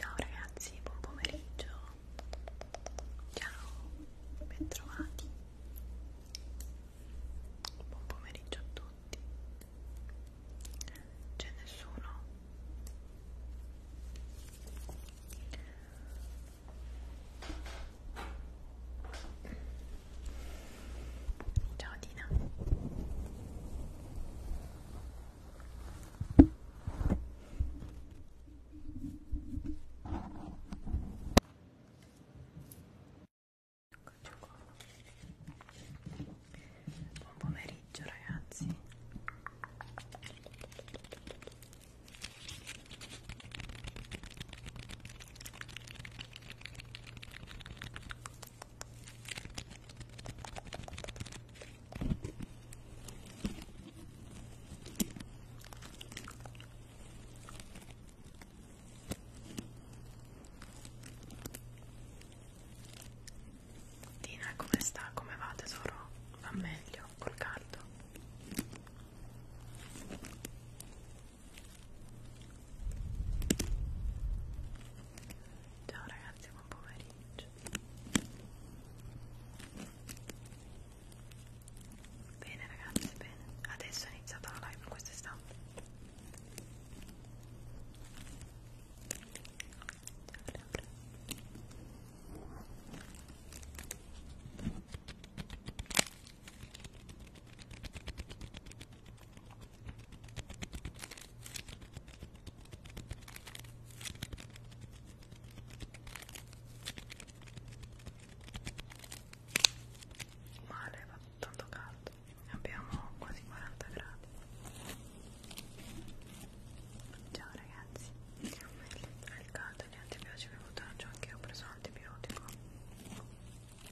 Ciao ragazzi, buon pomeriggio. Ciao, ben trovati. Buon pomeriggio a tutti. C'è nessuno? Ciao Dina. Buon pomeriggio ragazzi Tina come sta? Come va tesoro? Va meglio col caldo? Ciao ragazzi, buon pomeriggio. Bene ragazzi, bene. Adesso è iniziata la live, questo è stato. Bene, male, fa tanto caldo abbiamo quasi 40 gradi ciao ragazzi il caldo e gli antibiotici che ho anche io ho preso l'antibiotico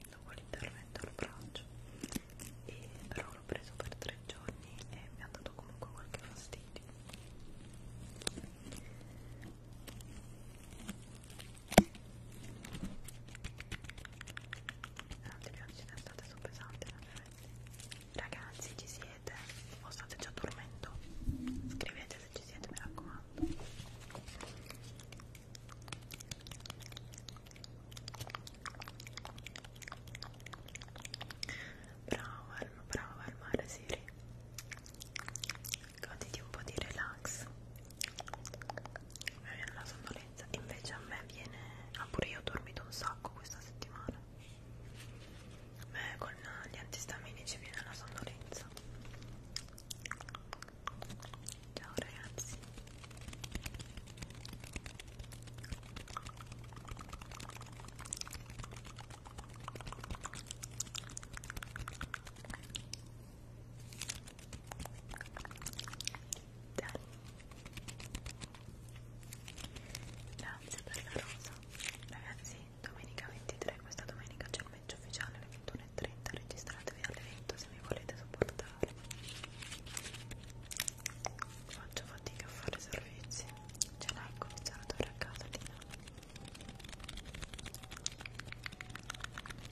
dopo l'intervento al braccio e però l'ho preso per tre giorni e mi ha dato comunque qualche fastidio L'antibiotici d'estate sono pesanti Ragazzi ci siete? O state già dormendo? Scrivete se ci siete mi raccomando Bravo, bravo, al mare Siri goditi un po' di relax mi viene la sonnolenza invece a me viene ah pure io ho dormito un sacco questa settimana a me con gli antistaminici viene la sonnolenza ciao ragazzi Dani grazie per la rosa ragazzi domenica 23 questa domenica c'è il match ufficiale alle 21.30 registratevi all'evento se mi volete supportare faccio fatica a fare servizi ce l'hai il condizionatore a casa Lina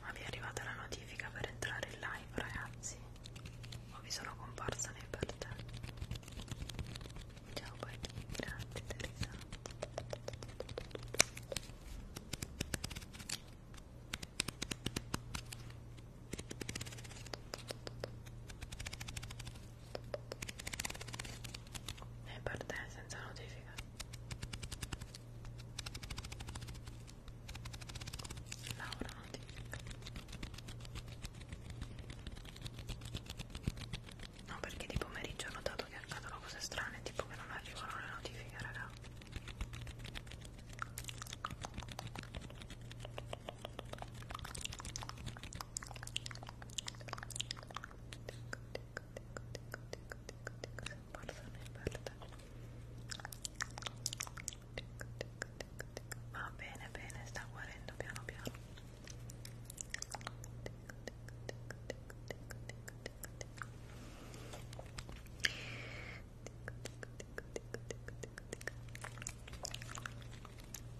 ma vi è arrivata la notifica per entrare in live ragazzi o vi sono comparsa nei cartelli ciao poi grazie Teresa e per te senza notifica laurati no perché di pomeriggio ho notato che accadono cose strane tipo che non arrivano le notifiche raga porto nel verde va bene bene sta guarendo piano piano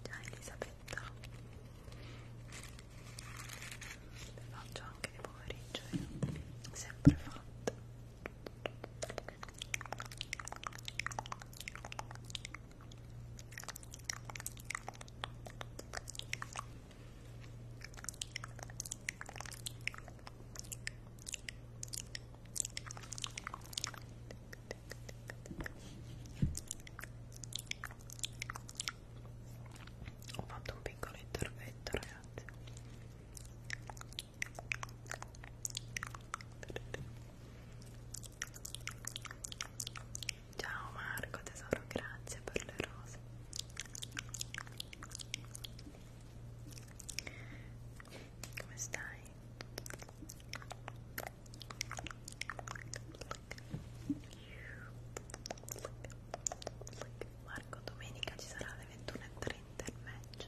Già Elisabetta le faccio anche di pomeriggio sempre fatta ho fatto un piccolo intervento, ragazzi. Ciao Marco tesoro, grazie per le rose. Come stai? Marco, domenica ci sarà alle 21.30 il match.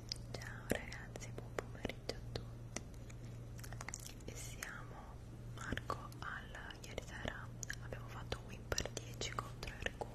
Ciao ragazzi, buon pomeriggio a tutti. E siamo Marco alla ieri sera abbiamo fatto un win per 10 contro Ergun.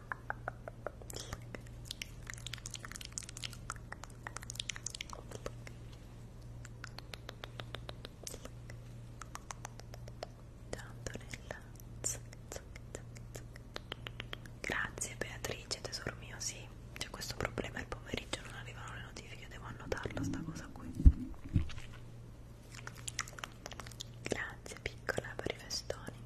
Grazie Beatrice, tesoro mio, sì, c'è questo problema, il pomeriggio non arrivano le notifiche, devo annotarla sta cosa qui. Grazie piccola per i festoni.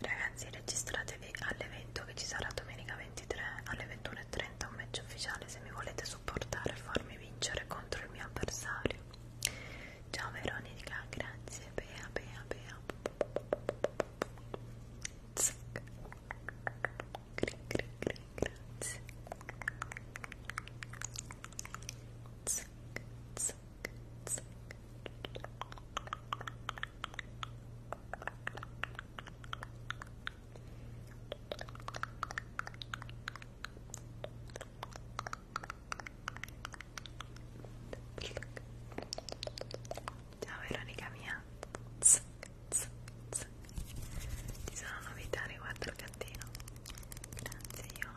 Ragazzi registratevi all'evento che ci sarà domenica 23 alle 21.30 un match ufficiale se mi volete supportare e farmi vincere contro il mio avversario. Ciao Veronica, grazie, bea bea bea. Zac. Gri, gri, gri, grazie. Zac, zac, zac, zac. Ciao Veronica mia zac, zac, zac. Ci sono novità riguardo il gattino Grazie Ion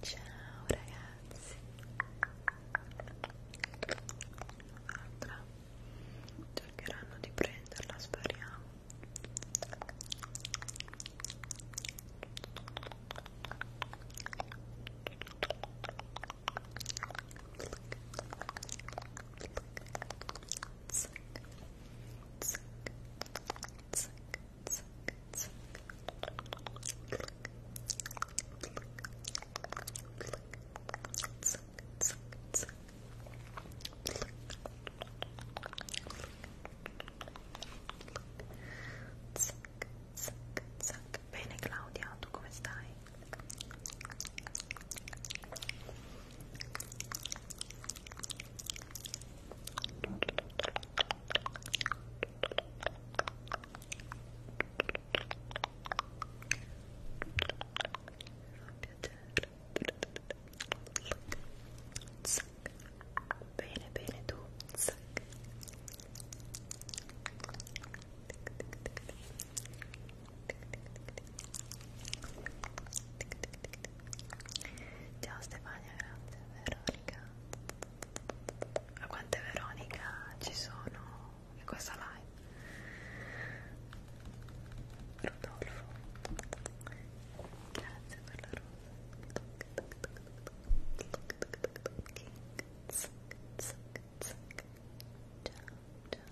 Ciao ragazzi. Un'altra. Cercheranno di prenderla, speriamo. Zac, zac, Suck, suck, suck. Bene Claudia, tu come stai? Zac. Bene, bene tu. Zac. Ciao Stefania, grazie, vero? Veronica ma quante Veronica ci sono in questa live Rodolfo grazie per la rosa ciao ciao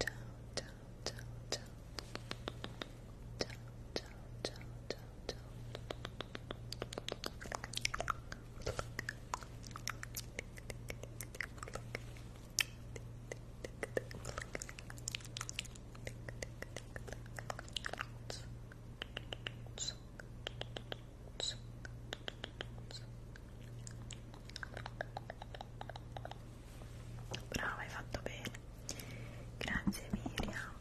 ciao ciao ciao ciao ciao ciao ciao ciao ciao ciao Brava, hai fatto bene. Grazie Miriam.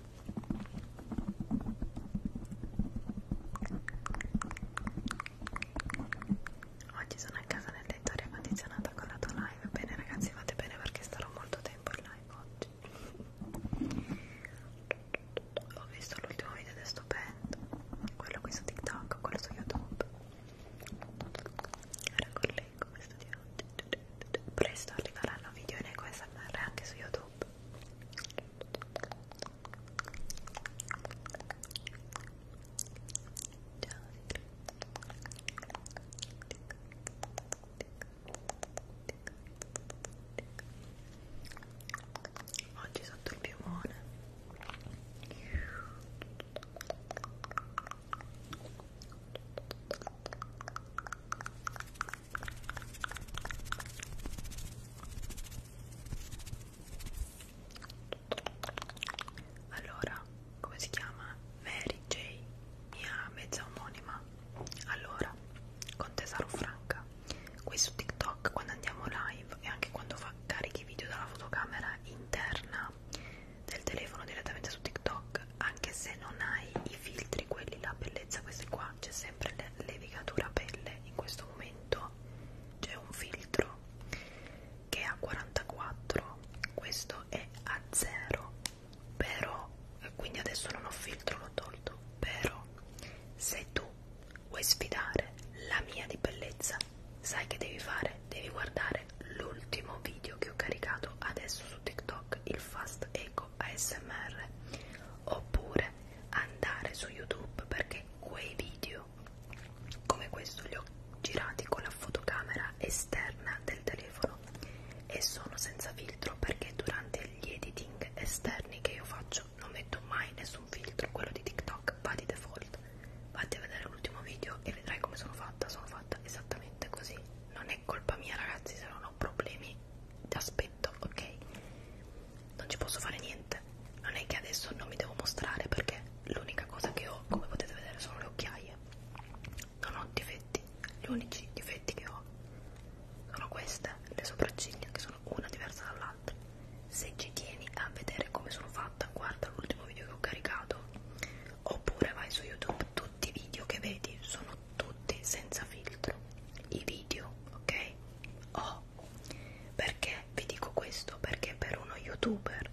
Oggi sono a casa nel tetto aria condizionata con la tua live. Bene ragazzi, fate bene perché starò molto tempo in live oggi. Ho visto l'ultimo video di sto band, quello qui su TikTok, quello su YouTube. Era con leggo questo di oggi. Presto arriveranno video in EcoSMR anche su YouTube. Ciao. Oggi sotto il piumone allora, come si chiama? Mary J, mia mezza omonima. Allora, con Tesaro Franca, qui su TikTok quando andiamo live e anche quando fa carichi video dalla fotocamera interna del telefono direttamente su TikTok look anche se non hai i filtri quelli la bellezza questi qua c'è sempre l'evigatura pelle in questo momento c'è un filtro che è a 44 questo è a 0 però eh, quindi adesso non ho filtro l'ho tolto però se tu vuoi sfidare la mia di bellezza sai che devi fare devi guardare l'ultimo video che ho caricato adesso su TikTok blog il Fast Eco ASMR oppure andare su YouTube perché quei video come questo li ho girati con la fotocamera esterna del telefono e sono senza filtro perché durante gli editing esterni che io faccio non metto mai nessun filtro, quello di TikTok va di default. Vatti a vedere l'ultimo video e vedrai come sono fatta, sono fatta esattamente così, non non è colpa mia ragazzi se non ho problemi di aspetto, ok? Non ci posso fare niente, non è che adesso non mi devo mostrare perché l'unica cosa che ho, come potete vedere, sono le occhiaie. Non ho difetti, gli unici difetti che ho sono queste, le sopracciglia che sono una diversa dall'altra. Se ci tieni a vedere come sono fatta, guarda l'ultimo video che ho caricato, oppure vai su YouTube, tutti i video che vedi sono tutti senza filtro i video ok oh perché vi dico questo perché per uno youtuber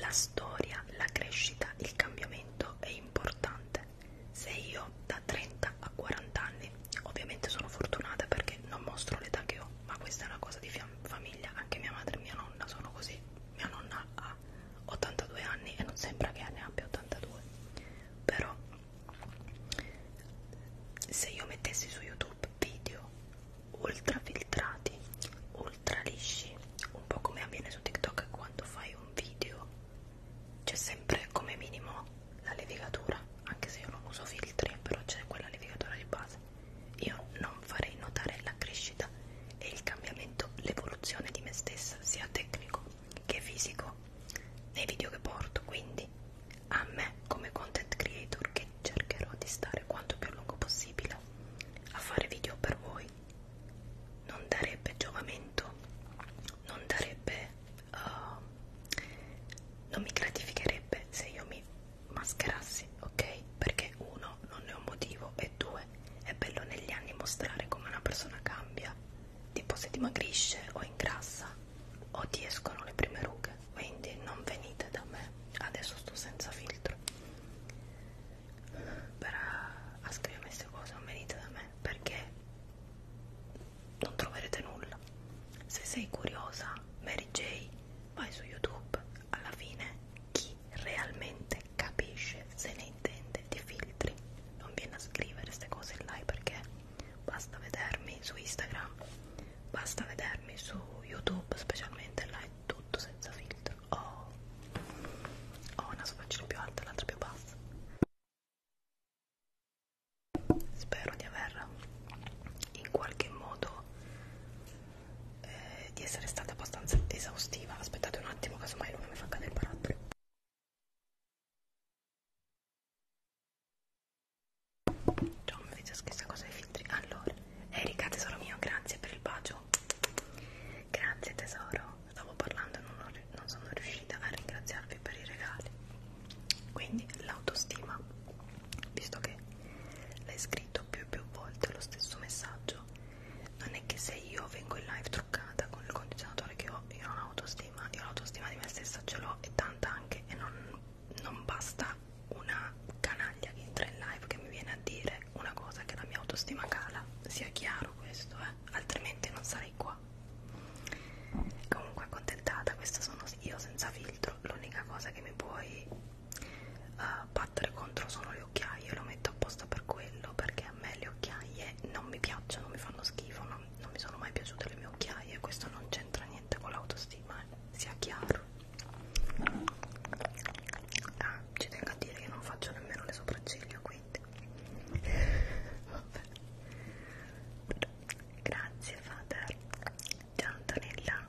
la storia la crescita il cambiamento è importante se io da 30 a 40 anni ovviamente sono fortunata perché non mostro l'età che ho ma questa è una cosa di famiglia anche mia madre e mia nonna sono così mia nonna ha 82 anni e non sembra che ne abbia 82 però se io mettessi su youtube video ultra filtrati ultra lisci un po' come avviene su tiktok quando fai un video c'è sempre come minimo la levigatura anche se io non uso filtri però c'è quella levigatura di base io non farei notare la crescita e il cambiamento l'evoluzione di me stessa sia tecnico che fisico nei video che porto quindi a me come content creator che cercherò di stare quanto più a lungo possibile a fare video per voi non darebbe giovamento non darebbe uh, non mi gratificherebbe se io mi mascherassi ok perché uno non ne ho motivo e due è bello negli anni mostrare come una persona cambia tipo se dimagrisce o ingrassa o ti escono le prime rughe quindi non venite da me adesso sto senza filtro per a, a scrivere queste cose non venite da me perché non troverete nulla se sei curiosa Mary J vai su YouTube alla fine chi realmente capisce se ne intende di filtri non viene a scrivere queste cose in live perché basta vedermi su Instagram, basta vedermi su YouTube, specialmente là è tutto senza filtro. Oh, ho oh, oh, una sopracciglia più alta e l'altra più bassa. Spero di aver in qualche modo eh, di essere stata abbastanza esaustiva. Aspettate un attimo, casomai non mi fa cadere il barattolo. John mi fece stessa cosa ai filtri. Allora, Erika, tesoro mio, grazie per il bacio. Grazie tesoro, stavo parlando e non, ho, non sono riuscita a ringraziarvi per i regali. Quindi l'autostima, visto che l'hai scritto più e più volte lo stesso messaggio, non è che se io vengo in live truccata con il condizionatore che ho, io non ho autostima l'autostima, io l'autostima di me stessa ce l'ho e tanta anche e non, non basta una canaglia che entra in live che mi viene a dire una cosa che la mia autostima cala, sia chiaro questo, eh? altrimenti non sarei qua. Comunque accontentata, questo sono io senza filtro, l'unica cosa che mi puoi uh, battere contro sono le occhiaie, lo metto apposta per quello perché a me le occhiaie non mi piacciono, mi fanno schifo, non non mi sono mai piaciute le mie occhiaie, questo non c'entra niente con l'autostima, eh? sia chiaro. Ah, ci tengo a dire che non faccio nemmeno le sopracciglia, quindi vabbè. Grazie Father. Ciao Antonella.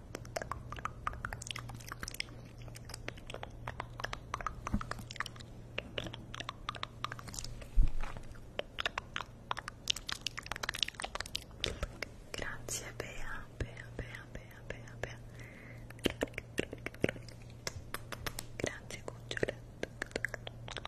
Grazie Bea, Bea, Bea, Bea, Bea, Bea. Grazie cucciole. Grazie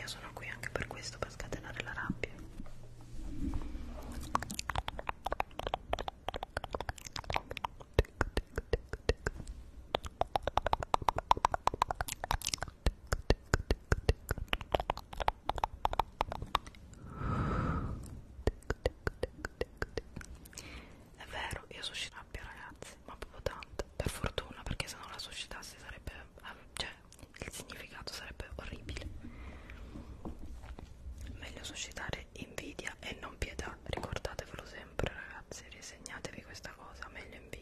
Io sono qui anche per questo, per scatenare la rabbia. Tic, tic, tic, tic. È vero, io suscito rabbia ragazzi, ma proprio tanto, per fortuna, perché se non la suscitassi sarebbe, eh, cioè, il significato sarebbe orribile. Meglio suscitare invidia e non pietà, ricordatevelo sempre ragazzi, risegnatevi questa cosa, meglio invidia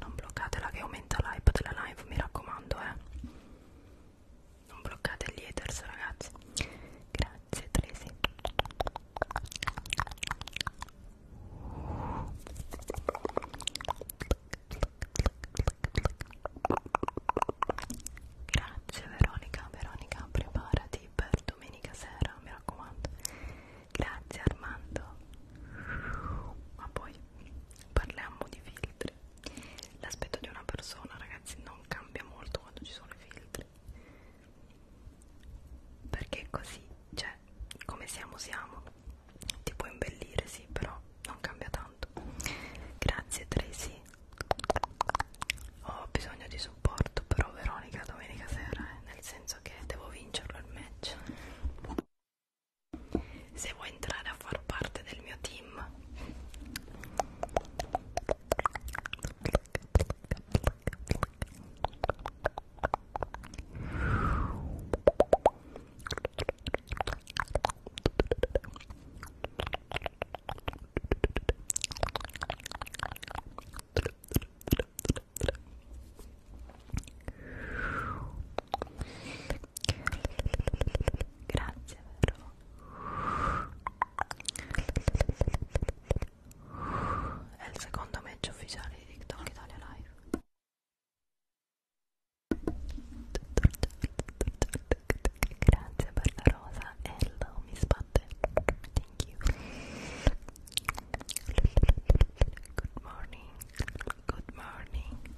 non bloccatela che aumenta l'hype della live mi raccomando eh non bloccate gli haters ragazzi grazie Tracy Grazie Veronica, Veronica preparati per domenica sera, mi raccomando. Grazie Armando. Ma poi parliamo di filtri l'aspetto di una persona ragazzi non cambia molto quando ci sono i filtri perché così cioè come siamo siamo ti può imbellire sì però non cambia tanto grazie Tracy ho bisogno di supporto però Veronica domenica sera eh, nel senso che devo vincerlo il match se vuoi entrare a far parte del mio team Grazie, vero? È il secondo match ufficiale di TikTok Italia Live. Grazie per la rosa, hello, mi spatte. Thank you. Good morning good morning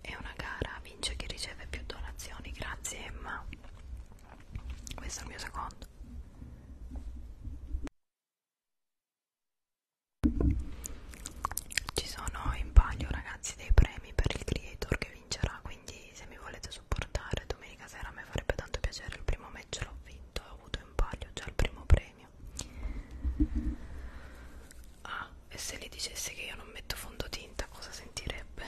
è una gara vince chi riceve più donazioni grazie Emma questo è il mio secondo ci sono in palio ragazzi dei premi per il creator che vincerà, quindi se mi volete supportare domenica sera mi farebbe tanto piacere, il primo match l'ho vinto e ho avuto in palio già il primo premio. Ah, e se gli dicessi che io non metto fondotinta cosa sentirebbe?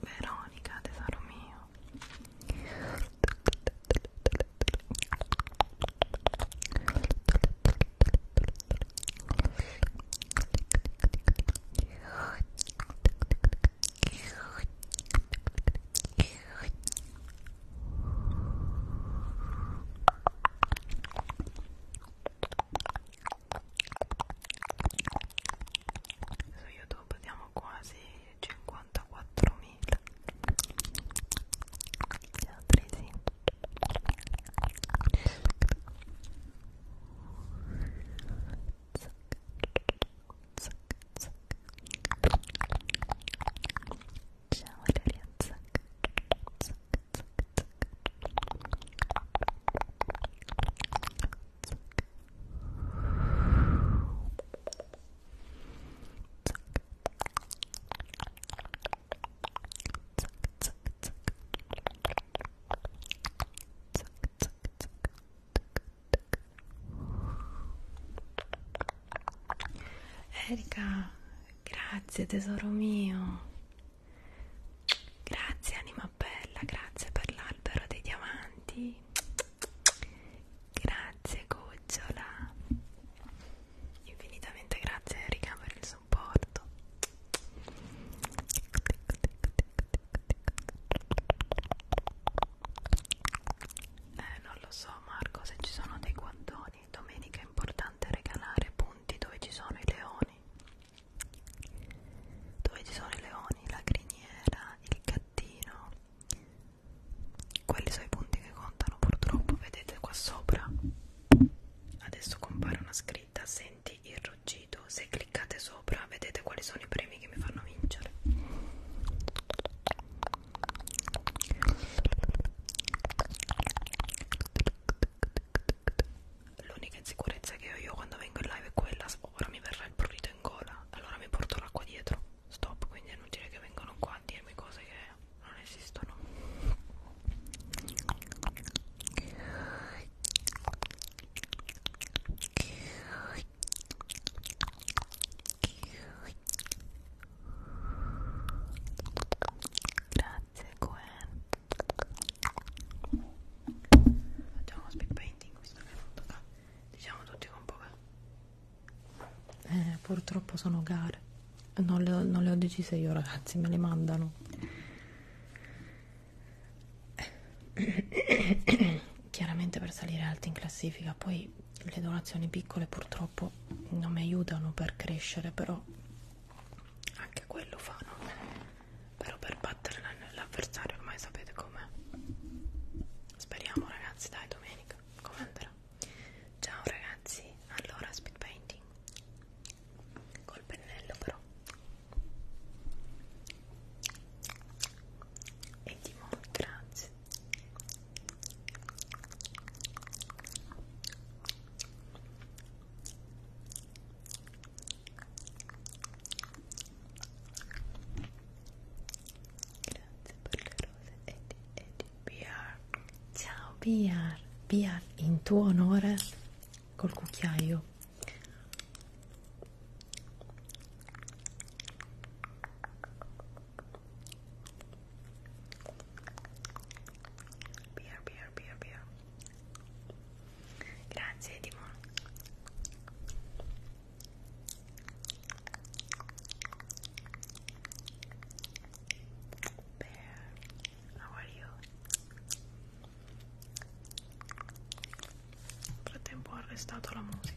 Veronica tesoro mio su youtube siamo quasi 54.000 gli altri sì Zac, zac. Ciao Valeria Zac, zac. Erika, grazie tesoro mio. Grazie anima bella, grazie per l'albero dei diamanti. Grazie gocciola. Infinitamente grazie Erika per il supporto. Eh, non lo so Marco se ci sono dei guantoni. Domenica è importante regalare punti dove ci sono i leoni dove ci sono i leoni, la criniera, il gattino quelli sono i punti che contano purtroppo vedete qua sopra adesso compare una scritta senti il ruggito se cliccate sopra vedete quali sono i premi che mi fanno vincere l'unica insicurezza che ho io quando vengo in live è quella oh, ora mi verrà il prurito in gola allora mi porto l'acqua dietro stop quindi è inutile che vengano qua a dirmi cose che non esistono grazie Gwen Facciamo uno speed painting questo che ho fatto qua. Diciamo tutti con poca. Eh, purtroppo sono gare. Non le, ho, non le ho decise io ragazzi, me le mandano. Chiaramente per salire alti in classifica, poi le donazioni piccole purtroppo non mi aiutano per crescere, però anche quello fanno però per battere l'avversario ormai sapete com'è speriamo ragazzi dai domenica come andrà ciao ragazzi allora speed painting col pennello però e di grazie Grazie per le rose e di, e di BR. Ciao BR, BR in tuo onore col cucchiaio. BR, BR, BR, BR. Grazie Edimon. Bear, how are you? Nel frattempo ho arrestato la musica.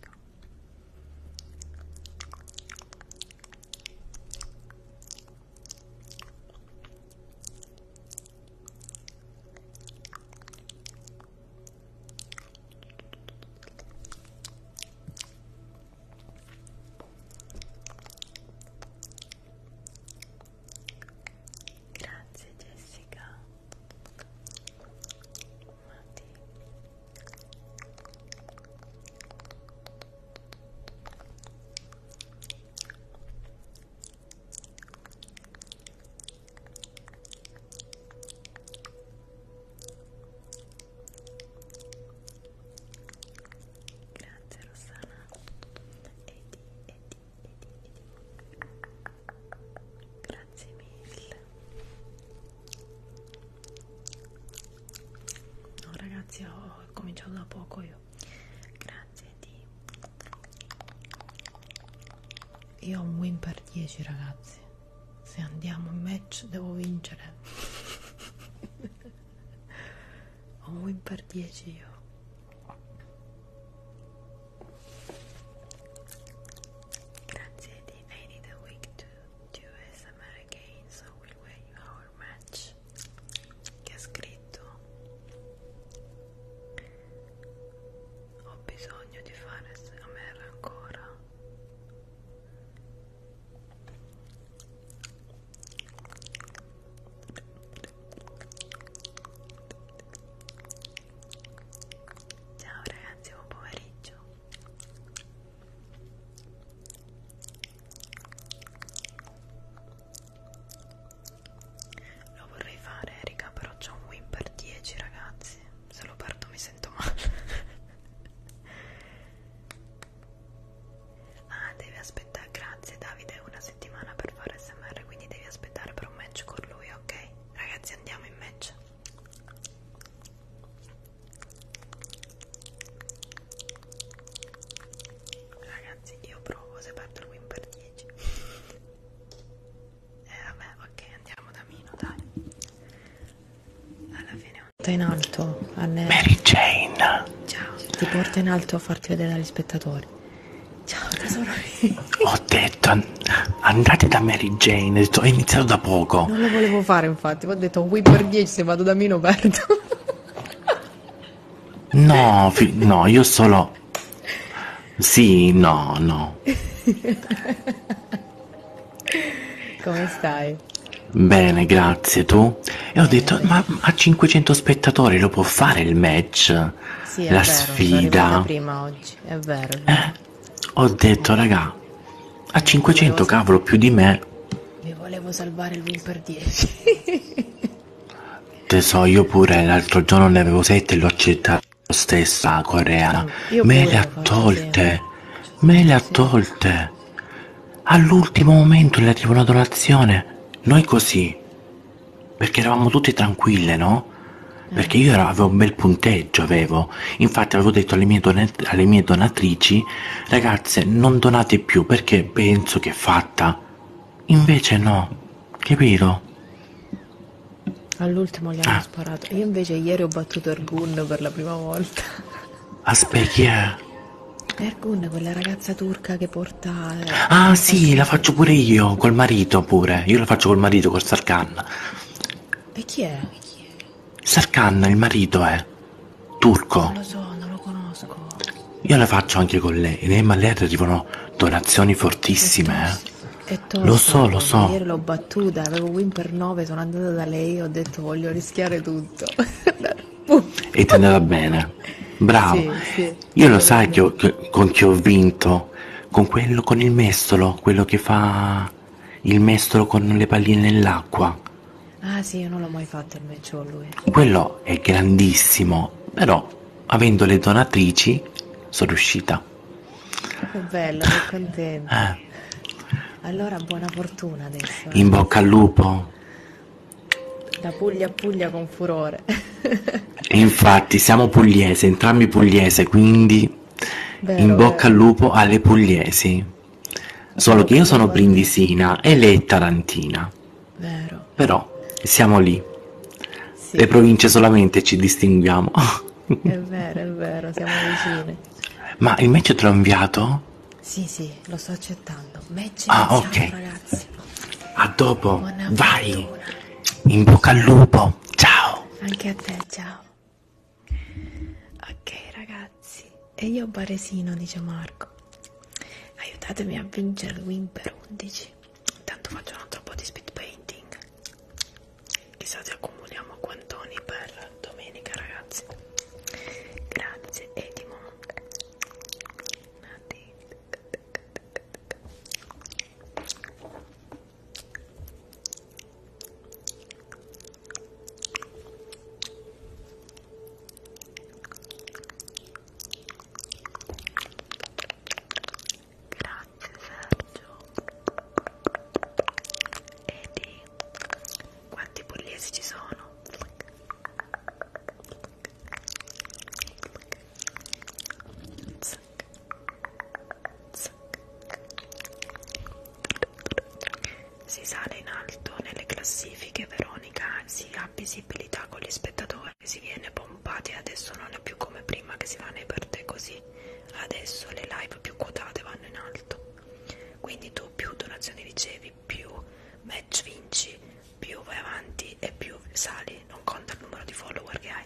Grazie Jessica Matti Grazie Grazie Rossana Edi, Edi, Edi, Edi Grazie mille No ragazzi ho cominciato da poco io Grazie vedi io ho un win per 10 ragazzi se andiamo in match devo vincere ho un win per 10 io grazie Eddie I need a week to do ASMR again so we'll wait our match che ha scritto ho bisogno di fare a me ancora ciao ragazzi buon pomeriggio lo vorrei fare Erika, però c'ho un win per 10 ragazzi. Se lo perdo mi sento male. ah, devi aspettare. Grazie Davide, una settimana per fare SMR, quindi devi aspettare per un match con lui, ok? Ragazzi andiamo in match. Ragazzi, io provo se perdo il win per 10 eh vabbè ok andiamo da Mino dai alla fine porta in alto Anne. Mary Jane ciao ti porta in alto a farti vedere dagli spettatori ciao tesoro ho detto andate da Mary Jane ho iniziato da poco non lo volevo fare infatti ho detto qui per 10 se vado da Mino perdo No, no, io solo no. Sì, no, no. Come stai? Bene, grazie. Tu? E ho detto, ma a 500 spettatori lo può fare il match? Sì, è La vero, sfida? prima oggi, è vero. È vero. Eh, ho detto, raga, a 500 cavolo più di me. Mi volevo salvare il win per 10. Te so, io pure l'altro giorno ne avevo 7 e l'ho accettato stessa coreana. Io me le ha tolte, me le ha tolte. All'ultimo momento le arriva una donazione. Noi così, perché eravamo tutte tranquille, no? Eh. Perché io avevo un bel punteggio, avevo. Infatti avevo detto alle mie, donat- alle mie donatrici, ragazze, non donate più perché penso che è fatta. Invece no. Capito? All'ultimo gli hanno ah. sparato. Io invece ieri ho battuto Ergun per la prima volta. Aspetta, ah, chi è? Ergun, quella ragazza turca che porta... Eh, ah sì, la faccio pure io, col marito pure. Io la faccio col marito, col Sarkan. E chi è? Chi è? Sarkan, il marito è. Turco. Non lo so, non lo conosco. Io la faccio anche con lei, ma lei arrivano donazioni fortissime. Fortissimo. Eh. È tosta, lo so, lo so. Ieri l'ho battuta, avevo win per 9, sono andata da lei, ho detto voglio rischiare tutto. e ti andava bene. Bravo. Sì, sì. Io lo sai che ho, che, con chi ho vinto? Con quello con il mestolo, quello che fa il mestolo con le palline nell'acqua. Ah sì, io non l'ho mai fatto il meccio lui. Quello è grandissimo, però avendo le donatrici sono riuscita. Che bello, che contento. Eh. Allora buona fortuna adesso. Eh. In bocca al lupo. Da Puglia a Puglia con furore. e infatti siamo pugliese, entrambi pugliese, quindi vero, in bocca vero. al lupo alle pugliesi. Solo che io sono brindisina e lei è tarantina. Vero. Però siamo lì. Sì. Le province solamente ci distinguiamo. È vero, è vero, siamo vicine. Ma il match te l'ho inviato? Sì, sì, lo sto accettando. Match ah, iniziato, ok. ragazzi. A dopo, Buona vai. Fortuna. In bocca al lupo. Ciao. Anche a te, ciao. Ok, ragazzi. E io Baresino, dice Marco. Aiutatemi a vincere il win per 11. Intanto faccio un altro po' di speed painting. Chissà se accumuliamo quantoni per domenica, ragazzi. Grazie, Edimon. Grazie Sergio. Edi, quanti pugliesi ci sono? Zac. Zac. Si sale in alto nelle classifiche, Veronica, si ha visibilità con gli spettatori, si viene bombardato pompati adesso non è più come prima che si va nei per te così adesso le live più quotate vanno in alto quindi tu più donazioni ricevi più match vinci più vai avanti e più sali non conta il numero di follower che hai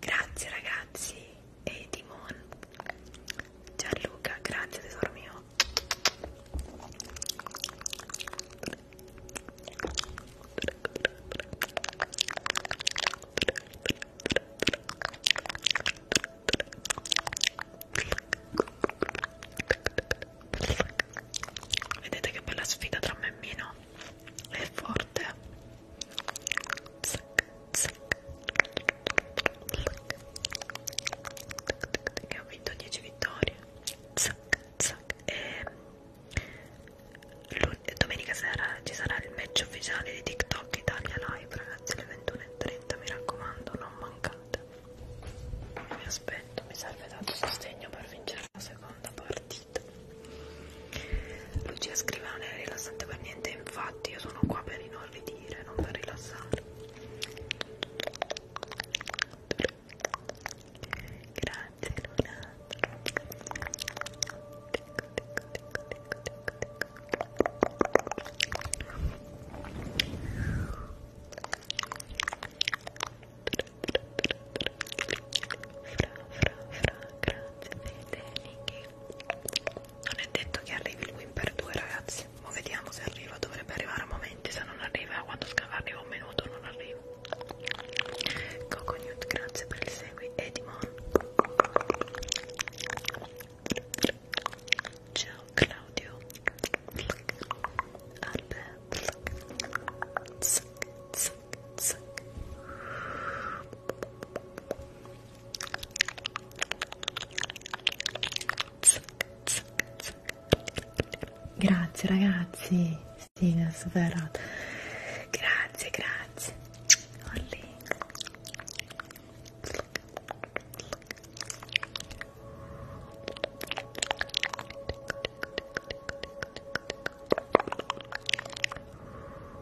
grazie ragazzi e Timon Gianluca grazie tesoro mio Vedete che bella sfida tra me e Mino? È forte. Che ho vinto 10 vittorie. Zac, zac. E domenica sera ci sarà il match ufficiale di TikTok Italia Live, ragazzi, alle 21.30, mi raccomando, non mancate. Vi aspetto, mi serve tanto sostegno per vincere la seconda partita. Lucia scrive non è rilassante per niente, infatti io sono qua per inorridire, non per rilassare. Grazie Luna non è detto che arrivi il win per due ragazzi ma vediamo se arriva dovrebbe arrivare a momenti se non arriva quando arriva un minuto non arriva Coconut grazie per il segui Edimon Ciao Claudio Albert zac, zac, zac. Zac, zac, zac. Grazie ragazzi, Stina sì, superata. Grazie, grazie. Olli.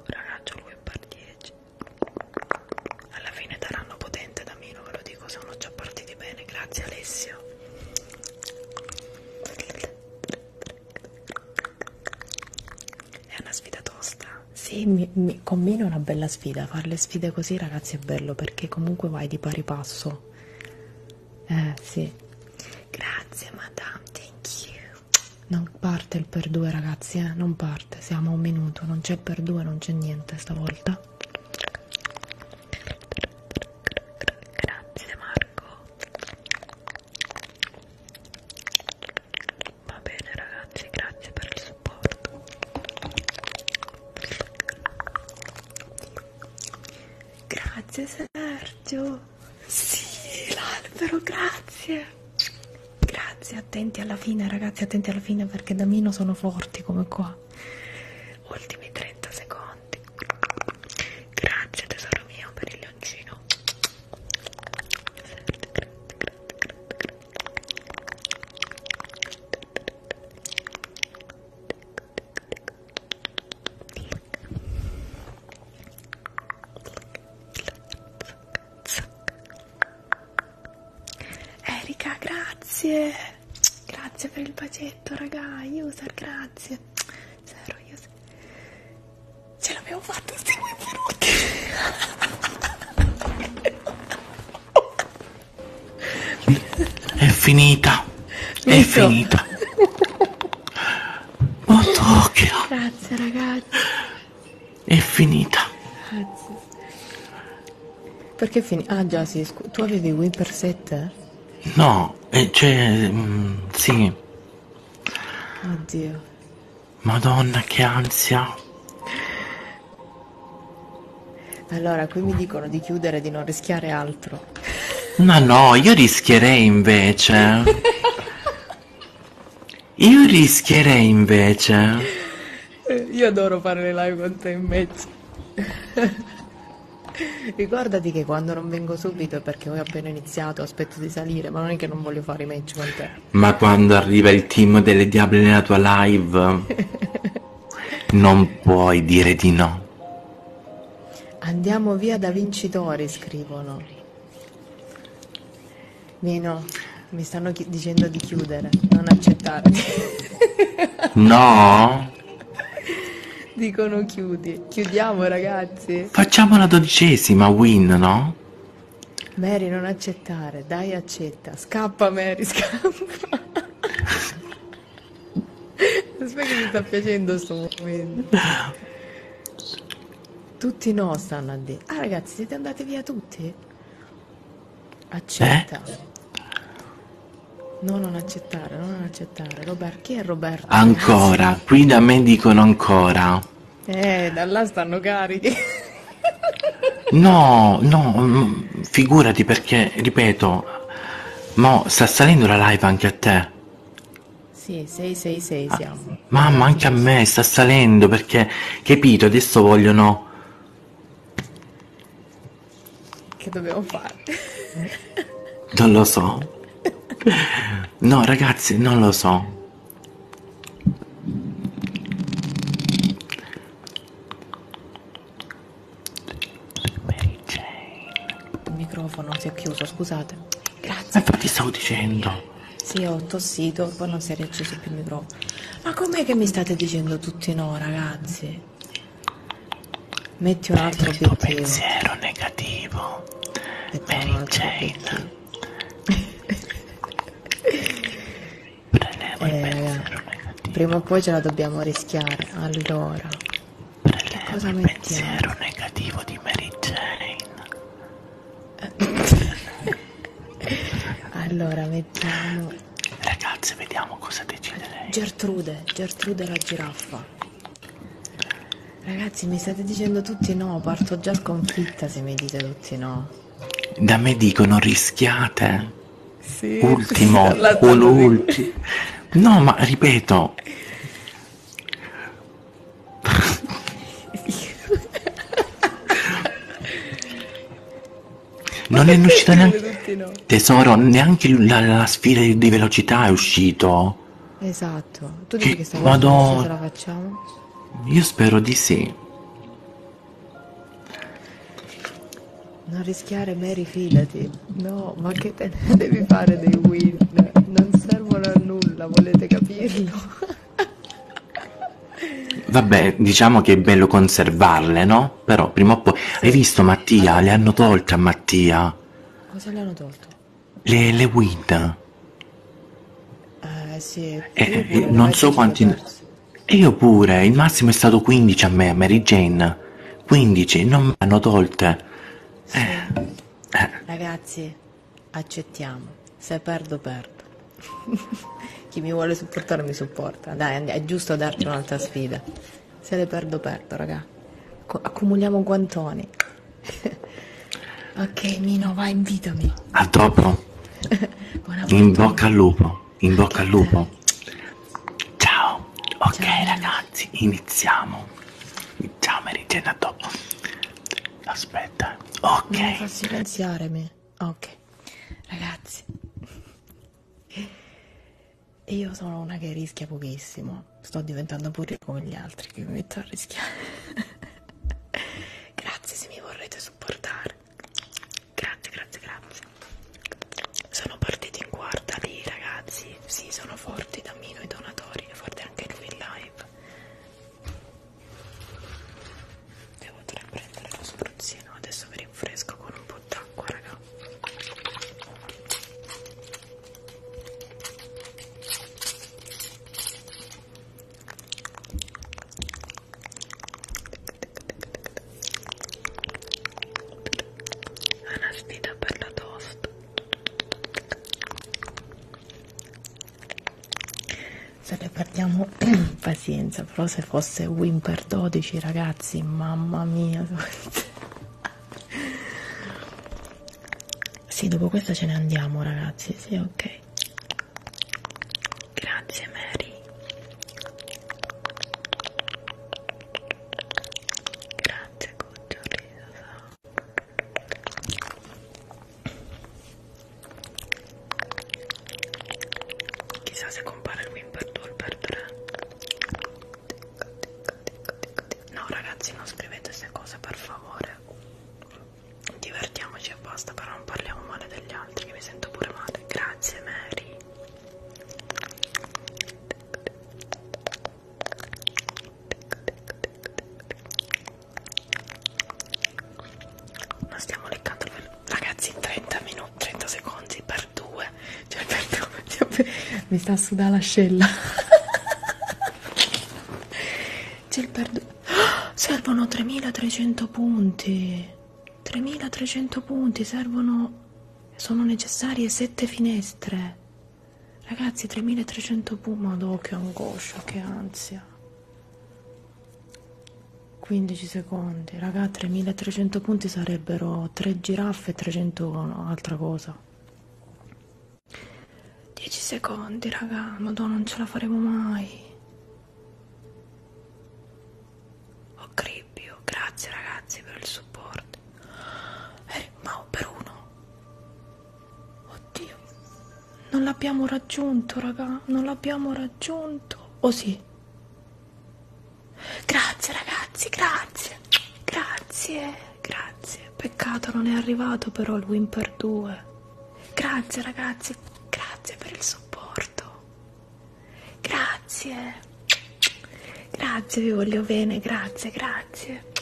Ragazzo lui è par 10 alla fine daranno potente da meno ve lo dico sono già partiti bene grazie Alessio è una sfida tosta. Sì, mi, mi, con me è una bella sfida. Fare le sfide così, ragazzi, è bello perché comunque vai di pari passo. Eh, sì. Grazie, madame, thank you. Non parte il per due, ragazzi, eh? non parte. Siamo a un minuto, non c'è per due, non c'è niente stavolta. Grazie Marco. Va bene ragazzi, grazie per il supporto. Grazie Sergio. Sì, l'albero, grazie. Grazie, attenti alla fine ragazzi, attenti alla fine perché da Mino sono forti come qua. Ultimi 30 secondi. Grazie tesoro mio per il leoncino. Erika, grazie. Grazie per il bacetto, raga. User, grazie. Zero user. Ce l'abbiamo fatta, stiamo venuti. È finita. È Listo. finita. Motocchia. Grazie ragazzi. È finita. Grazie. Perché finita? Ah già sì, scu- tu avevi Wii per 7? No, eh, cioè... Mm, sì. Oddio. Madonna, che ansia. Allora, qui mi dicono di chiudere, di non rischiare altro. Ma no, io rischierei invece. io rischierei invece. Io adoro fare le live con te invece. Ricordati che quando non vengo subito è perché ho appena iniziato, aspetto di salire, ma non è che non voglio fare i match con te. Ma quando arriva il team delle diable nella tua live, non puoi dire di no. Andiamo via da vincitori, scrivono. Meno, mi stanno dicendo di chiudere, non accettare. no? Dicono chiudi. Chiudiamo ragazzi. Facciamo la dodicesima win, no? Mary, non accettare, dai, accetta. Scappa, Mary, scappa. Aspetta che mi sta piacendo questo momento. Tutti no stanno a dire. Ah, ragazzi, siete andati via tutti? Accetta. Eh? No, non accettare, non accettare. Robert, chi è Roberto? Ancora, qui da me dicono ancora. Eh, da là stanno carichi. No, no, mm, figurati perché, ripeto, mo sta salendo la live anche a te. Sì, 666 ah, siamo. Ah, mamma, anche a me sta salendo perché, capito, adesso vogliono... Che dobbiamo fare? Non lo so. No, ragazzi, non lo so. Il microfono si è chiuso, scusate. Grazie. Infatti stavo dicendo. Sì, ho tossito, poi non si è riacceso più il microfono. Ma com'è che mi state dicendo tutti no, ragazzi? Metti un altro Prendi obiettivo. pensiero negativo. Mary Jane. Prelevo eh, il pensiero negativo. Prima o poi ce la dobbiamo rischiare. Allora, Prelevo cosa il mettiamo? pensiero negativo di Mary Jane. allora, mettiamo. Ragazze, vediamo cosa decide lei. Gertrude, Gertrude la giraffa. Ragazzi, mi state dicendo tutti no, parto già sconfitta se mi dite tutti no. Da me dicono rischiate. Eh? Sì, Ultimo o l'ultimo. No, ma ripeto. non è uscito neanche no. tesoro neanche la, la, sfida di velocità è uscito esatto tu dici cioè, che, che stavamo vado... la facciamo io spero di sì. Non rischiare, Mary, fidati. No, ma che te ne devi fare dei win? Non servono a nulla, volete capirlo? Vabbè, diciamo che è bello conservarle, no? Però prima o poi... Hai visto Mattia? Le hanno tolte a Mattia. Cosa le hanno tolto? Le, le win. Eh, eh, eh non so quanti... E io pure, il massimo è stato 15 a me, Mary Jane. 15, non mi hanno tolte. Eh, sì. Eh. Ragazzi, accettiamo. Se perdo, perdo. Chi mi vuole supportare mi supporta. Dai, è giusto darci un'altra sfida. Se le perdo, perdo, raga. Accumuliamo guantoni. ok, Mino, vai, invitami. A dopo. In bocca al lupo, in bocca al lupo. Ciao, ok Ciao. ragazzi, iniziamo. Ciao Marigena, dopo. Aspetta, ok. Non mi fa silenziare me. Ok, ragazzi. Io sono una che rischia pochissimo. Sto diventando pure come gli altri che mi metto a rischiare. Grazie se mi vorrete supportare. Grazie, grazie, grazie. Sono partiti in quarta lì, ragazzi. Sì, sono forti Damino i donatori, è forte anche lui in live. Devo prendere lo spruzzino, adesso mi rinfresco con un po' d'acqua, raga. È una sfida per la toast. Se ne perdiamo pazienza, però se fosse Wimper 12 ragazzi, mamma mia. sì, dopo questa ce ne andiamo ragazzi, sì, ok. Grazie Mary. Grazie Cucciolina. Chissà se compare il win per 2 o per 3. No ragazzi non scrivete queste cose per favore divertiamoci apposta però non parliamo male degli altri che mi sento pure male grazie Mary ma stiamo leccando ragazzi 30 minuti 30 secondi per due cioè per due cioè, mi sta su l'ascella c'è il perduto oh, servono 3300 punti 3300 punti servono sono necessarie 7 finestre ragazzi 3300 punti madò che angoscia che ansia 15 secondi raga 3300 punti sarebbero 3 giraffe e 300 altra cosa 10 secondi raga madò non ce la faremo mai Cribbio, oh, grazie ragazzi per il supporto. Eh, ma per uno. Oddio. Non l'abbiamo raggiunto, raga. Non l'abbiamo raggiunto. O oh, sì? Grazie ragazzi, grazie. Grazie, grazie. Peccato non è arrivato però il Wimper 2. Grazie ragazzi, grazie per il supporto morto. Grazie. Grazie, vi voglio bene, grazie, grazie.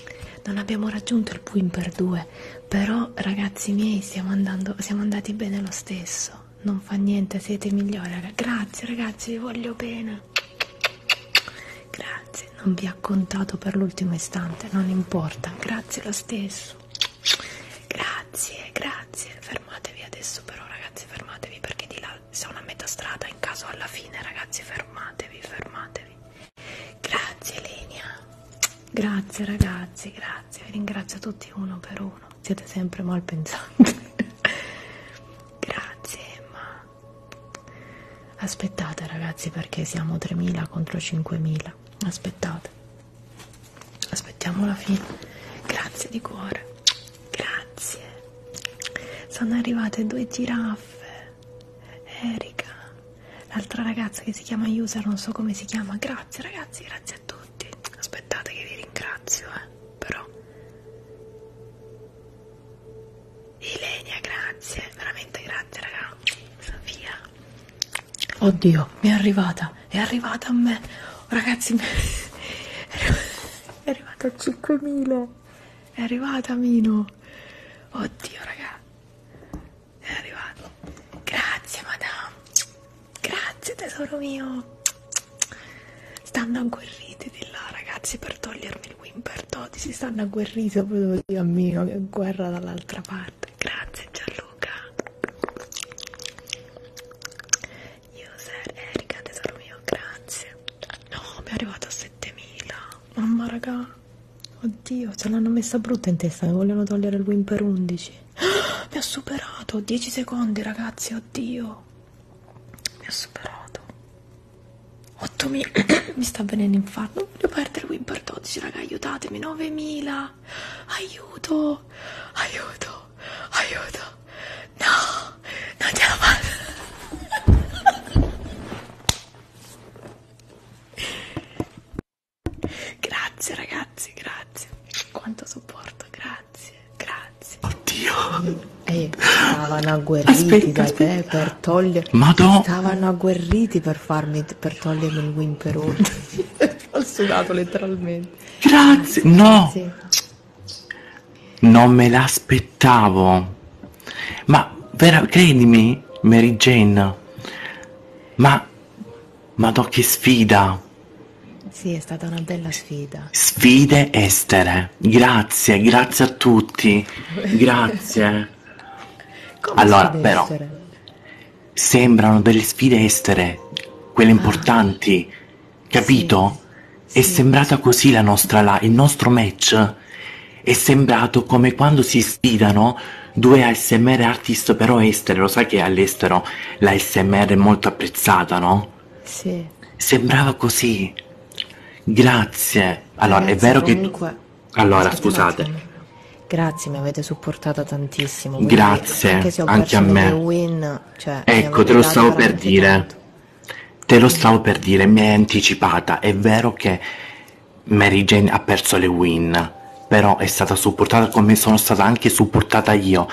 Non abbiamo raggiunto il Puin per due, però ragazzi miei stiamo andando, siamo andati bene lo stesso. Non fa niente, siete migliori. Ragazzi. Grazie ragazzi, vi voglio bene. Grazie, non vi ha contato per l'ultimo istante, non importa. Grazie lo stesso. Grazie, grazie. Fermatevi adesso però ragazzi, fermatevi perché di là sono a metà strada, in caso alla fine ragazzi, fermatevi, fermatevi. Grazie Lenia. Grazie ragazzi, grazie. Vi ringrazio tutti uno per uno. Siete sempre mal pensanti. grazie Emma. Aspettate ragazzi perché siamo 3.000 contro 5.000. Aspettate aspettiamo la fine grazie di cuore grazie sono arrivate due giraffe Erika l'altra ragazza che si chiama user non so come si chiama grazie ragazzi grazie a tutti aspettate che vi ringrazio eh però Ilenia grazie veramente grazie raga Sofia Oddio, mi è arrivata, è arrivata a me. Ragazzi, è arrivata a 5.000. È arrivata Mino. Oddio, raga. È arrivata. Grazie, madame. Grazie, tesoro mio. Stanno agguerriti di là, ragazzi, per togliermi il Wimper Toti. Si stanno agguerriti, proprio così a Mino, che guerra dall'altra parte. Grazie, Gianluca. Luca User Erika tesoro mio grazie No mi è arrivato a 7000 Mamma raga Oddio ce l'hanno messa brutta in testa Mi vogliono togliere il win per 11 ah, Mi ha superato 10 secondi ragazzi oddio Mi ha superato 8000 Mi sta venendo infarto Non voglio perdere win per 12 raga aiutatemi 9000 Aiuto Aiuto aiuto, no, non ce la faccio. grazie ragazzi, grazie. Quanto supporto, grazie, grazie. Oddio. E eh, stavano agguerriti aspetta, da aspetta. te per togliere. Madonna. Stavano agguerriti per farmi per togliermi il wimperone. Ho sudato letteralmente. Grazie. No. Grazie. Non me l'aspettavo. Ma vera, credimi, Mary Jane. Ma ma no, che sfida. Sì, è stata una bella sfida. Sfide estere. Grazie, grazie a tutti. Grazie. allora, però essere? sembrano delle sfide estere, quelle ah. importanti Capito? Sì, è sì, sembrata sì. così la nostra la, il nostro match. È sembrato come quando si sfidano due ASMR artist però esteri, lo sai che all'estero la SMR è molto apprezzata, no? Sì. Sembrava così. Grazie. Allora, Ragazzi, è vero comunque... che... Tu... Allora, scusate. Grazie, mi avete supportato tantissimo. Grazie, anche, anche a me. Win, prima. Cioè, ecco, te lo stavo per dire. Tanto. Te lo stavo per dire, mi hai anticipata. È vero che Mary Jane ha perso le win, però è stata supportata come sono stata anche supportata io.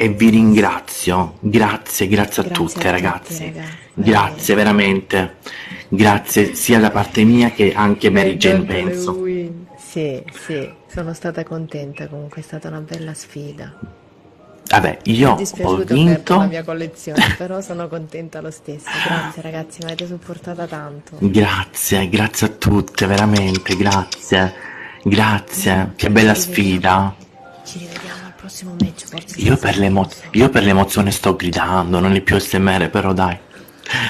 E vi ringrazio. Grazie, grazie, grazie a tutte, a ragazzi. Tutti, ragazzi. Grazie, veramente. Grazie sia da parte mia che anche Mary Jane, penso. Sì, sì. Sono stata contenta, comunque è stata una bella sfida. Vabbè, io ho vinto la mia collezione, però sono contenta lo stesso. Grazie ragazzi, mi avete supportata tanto. Grazie, grazie a tutte, veramente, grazie. Grazie, che bella Ci sfida. Ci rivediamo al prossimo match, forse. Io per, l'emo- io per l'emozione sto gridando, non è più SMR, però dai.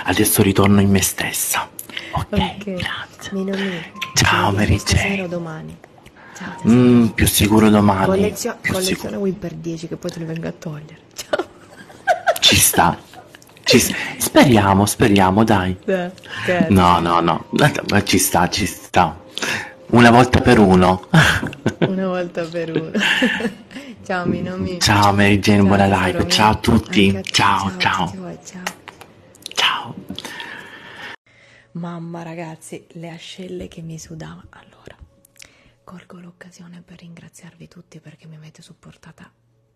Adesso ritorno in me stessa. Ok, okay. grazie. Meno meno. Ciao Mary Jane. domani. Ciao, mm, più sicuro domani. Collezio- più collezione sicuro. Win per 10 che poi te li vengo a togliere. Ciao. Ci sta. Ci sta. Speriamo, speriamo, dai. Beh, no, no, no. Ma ci sta, ci sta. Una volta per uno. Una volta per uno. ciao Minomi. Ciao Mary Jane, ciao, buona live. Ciao a tutti. Ciao, ciao. Ciao. ciao. ciao. Mamma ragazzi, le ascelle che mi sudava. Allora, colgo l'occasione per ringraziarvi tutti perché mi avete supportata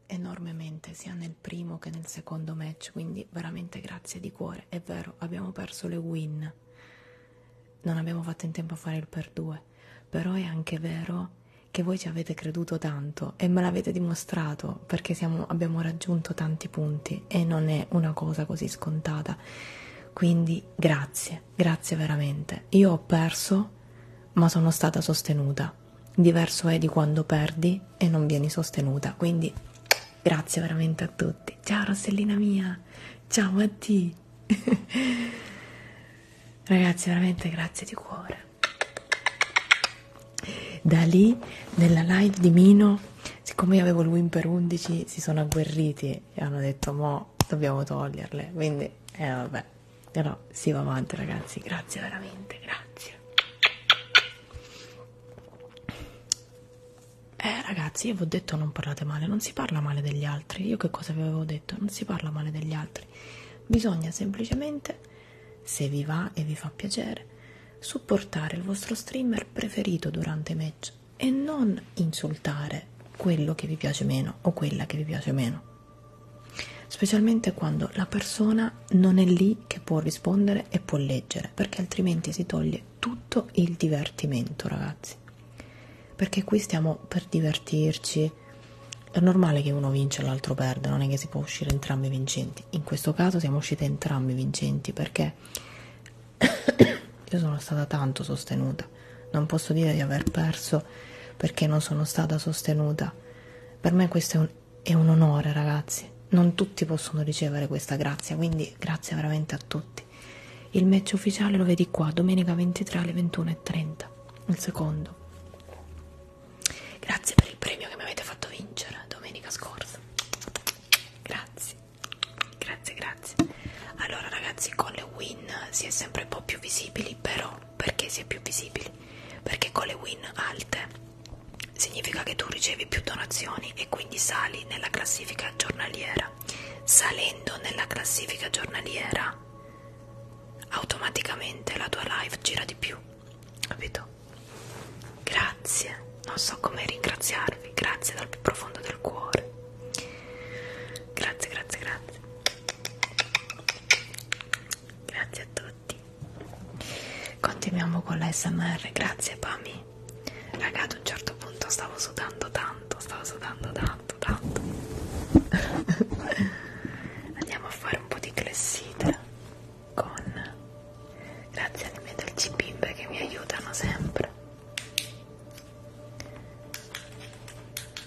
enormemente sia nel primo che nel secondo match, quindi veramente grazie di cuore. È vero, abbiamo perso le win. Non abbiamo fatto in tempo a fare il per due, però è anche vero che voi ci avete creduto tanto e me l'avete dimostrato dimostrato perché siamo, abbiamo raggiunto tanti punti e non è una cosa così scontata. Quindi grazie, grazie veramente. Io ho perso, ma sono stata sostenuta. Diverso è di quando perdi e non vieni sostenuta. Quindi grazie veramente a tutti. Ciao Rossellina mia, ciao Matti. Ragazzi, veramente grazie di cuore. Da lì, nella live di Mino, siccome io avevo lui per 11, si sono agguerriti e hanno detto: Mo dobbiamo toglierle. Quindi, eh vabbè, però si va avanti, ragazzi. Grazie veramente, grazie. Eh ragazzi, io vi ho detto non parlate male, non si parla male degli altri. Io che cosa vi avevo detto? Non si parla male degli altri. Bisogna semplicemente, se vi va e vi fa piacere, supportare il vostro streamer preferito durante i match e non insultare quello che vi piace meno o quella che vi piace meno specialmente quando la persona non è lì che può rispondere e può leggere perché altrimenti si toglie tutto il divertimento ragazzi perché qui stiamo per divertirci è normale che uno vince e l'altro perde non è che si può uscire entrambi vincenti in questo caso siamo usciti entrambi vincenti perché perché io sono stata tanto sostenuta, non posso dire di aver perso perché non sono stata sostenuta. Per me questo è un, è un onore, ragazzi. Non tutti possono ricevere questa grazia, quindi grazie veramente a tutti. Il match ufficiale lo vedi qua, domenica 23 alle 21.30, il secondo. Grazie per il premio che mi avete fatto vincere domenica scorsa grazie grazie grazie allora ragazzi con le win si è sempre un po' più visibili però perché si è più visibili perché con le win alte significa che tu ricevi più donazioni e quindi sali nella classifica giornaliera salendo nella classifica giornaliera automaticamente la tua live gira di più capito Grazie, non so come ringraziarvi, grazie dal più profondo del cuore. Grazie, grazie, grazie. Grazie a tutti. Continuiamo con l'SMR, grazie Pami. Raga, ad un certo punto stavo sudando tanto, stavo sudando tanto, tanto. Andiamo a fare un po' di clessite con grazie alle mie dolci bimbe che mi aiutano sempre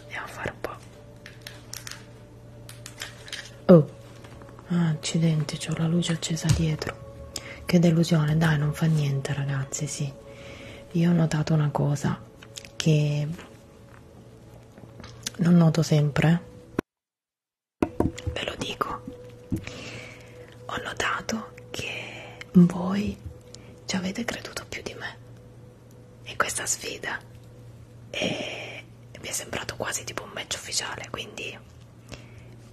andiamo a fare un po' oh ah, accidenti c'ho la luce accesa dietro che delusione dai non fa niente ragazzi sì io ho notato una cosa che non noto sempre ve lo dico ho notato che voi ci avete creduto più di me in questa sfida e eh, mi è sembrato quasi tipo un match ufficiale quindi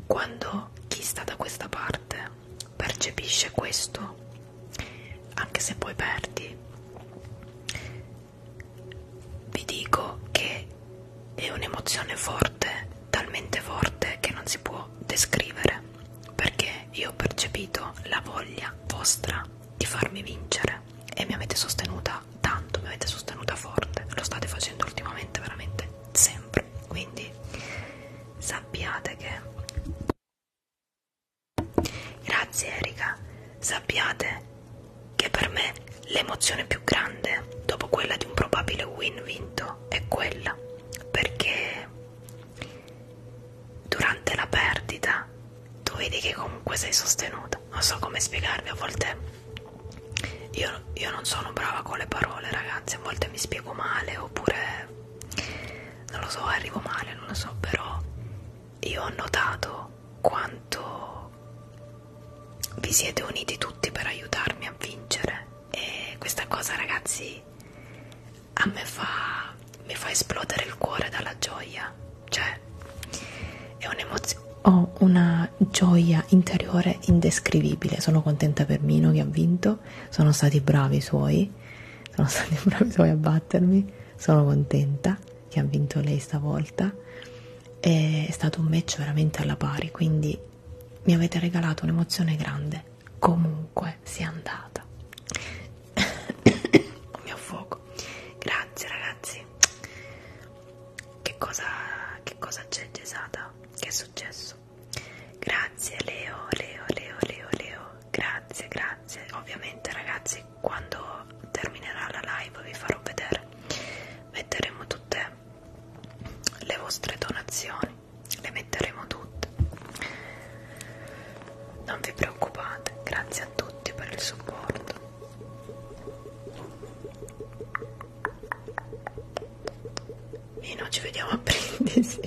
quando chi sta da questa parte percepisce questo anche se poi perdi vi dico che è un'emozione forte, talmente forte che non si può descrivere, perché io ho percepito la voglia vostra di farmi vincere e mi avete sostenuta tanto, mi avete sostenuta forte, lo state facendo ultimamente veramente sempre, quindi sappiate che... Grazie Erika, sappiate che per me l'emozione più grande dopo quella di un probabile win vinto no è quella perché durante la perdita tu vedi che comunque sei sostenuta non so come spiegarvi a volte io, io non sono brava con le parole ragazzi a volte mi spiego male oppure non lo so arrivo male non lo so però io ho notato quanto vi siete uniti tutti per aiutarmi a vincere e questa cosa ragazzi a me fa, mi fa esplodere il cuore dalla gioia cioè è un'emozione ho una gioia interiore indescrivibile sono contenta per Mino che ha vinto sono stati bravi i suoi sono stati bravi i suoi a battermi sono contenta che ha vinto lei stavolta è stato un match veramente alla pari quindi mi avete regalato un'emozione grande comunque sia andata un mio fuoco grazie ragazzi che cosa che cosa c'è Gesata che è successo grazie Leo Leo Leo Leo Leo grazie grazie ovviamente ragazzi quando terminerà la live vi farò vedere metteremo tutte le vostre donazioni le metteremo tutte non vi preoccupate grazie a tutti per il supporto Vino ci vediamo a brindisi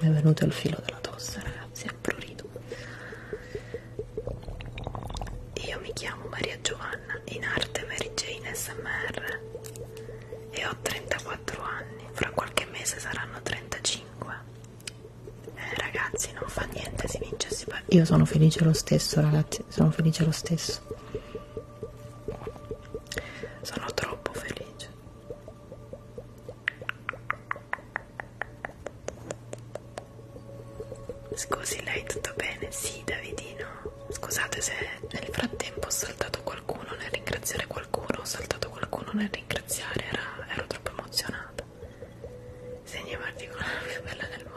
mi è venuto il filo della tosse ragazzi è prurito io mi chiamo Maria Giovanna, in arte Mary Jane SMR e ho 34 anni, fra qualche mese saranno 35. Eh, ragazzi, non fa niente, si vince e si perde. Io sono felice lo stesso, ragazzi, sono felice lo stesso. Sono troppo felice. Scusi, lei tutto bene? Sì, Davidino. Scusate se nel frattempo ho saltato qualcuno nel ringraziare qualcuno, ho saltato qualcuno nel ringraziare, era, ero troppo emozionata. Segna particolare più bella del mondo.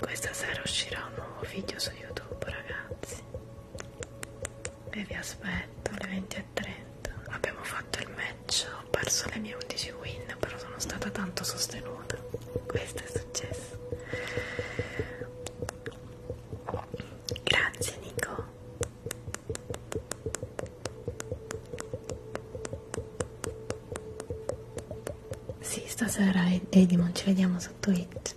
questa sera uscirà un nuovo video su youtube ragazzi e vi aspetto alle 20.30 abbiamo fatto il match ho perso le mie 11 win però sono stata tanto sostenuta questo è successo grazie Nico sì stasera Edimon ci vediamo su Twitch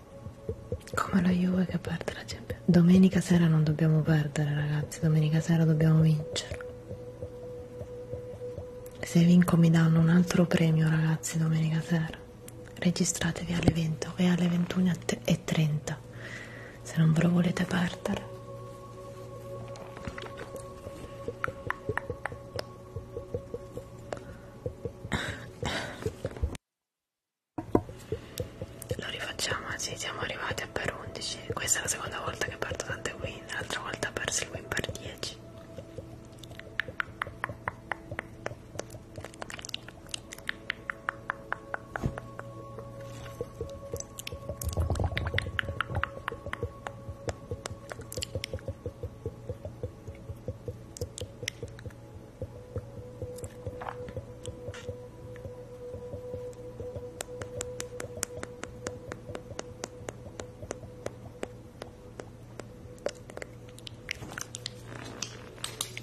Come la Juve che perde la Champions. Domenica sera non dobbiamo perdere, ragazzi. Domenica sera dobbiamo vincere. Se vinco mi danno un altro premio, ragazzi, domenica sera. Registratevi alle 20 e alle 21.30 se non ve lo volete perdere. Lo rifacciamo, sì, siamo arrivati a per 11. Questa è la seconda volta che perdo tante win, l'altra volta ho perso il win per 10.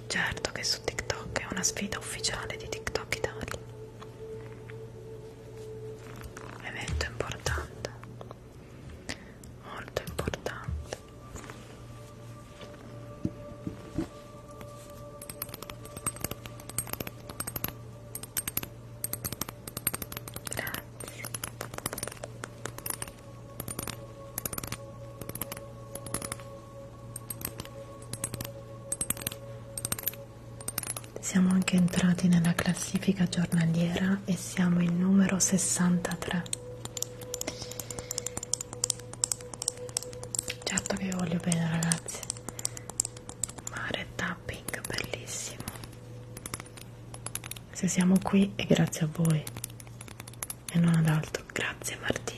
Certo che su TikTok è una sfida ufficiale di TikTok Italia. Evento importante, molto importante. Grazie. Siamo anche entrati nella classifica giornaliera e siamo il numero 63 certo che io voglio bene ragazzi mare tapping bellissimo se siamo qui è grazie a voi e non ad altro grazie Martina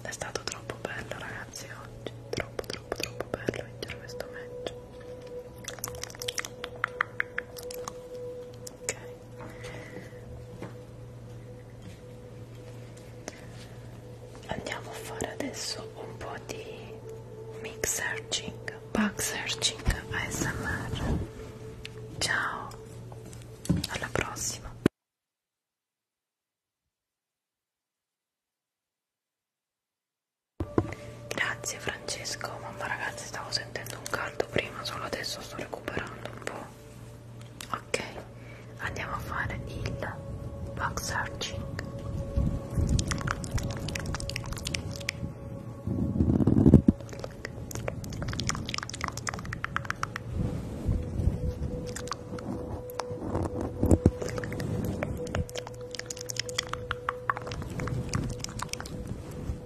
è stato troppo bello ragazzi oggi, troppo troppo troppo bello vincere questo match ok andiamo a fare adesso un po' di mix searching bug searching ASMR ciao alla prossima Grazie Francesco, mamma ragazzi stavo sentendo un caldo prima, solo adesso sto recuperando un po'. Ok, andiamo a fare il back searching. Ok,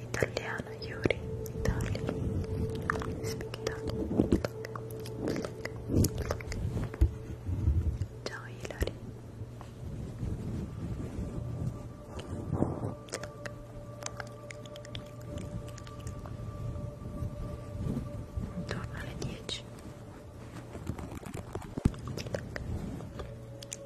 Italiano, Yuri, Italia. Speak Italian. Ciao Hilary. Intorno alle 10.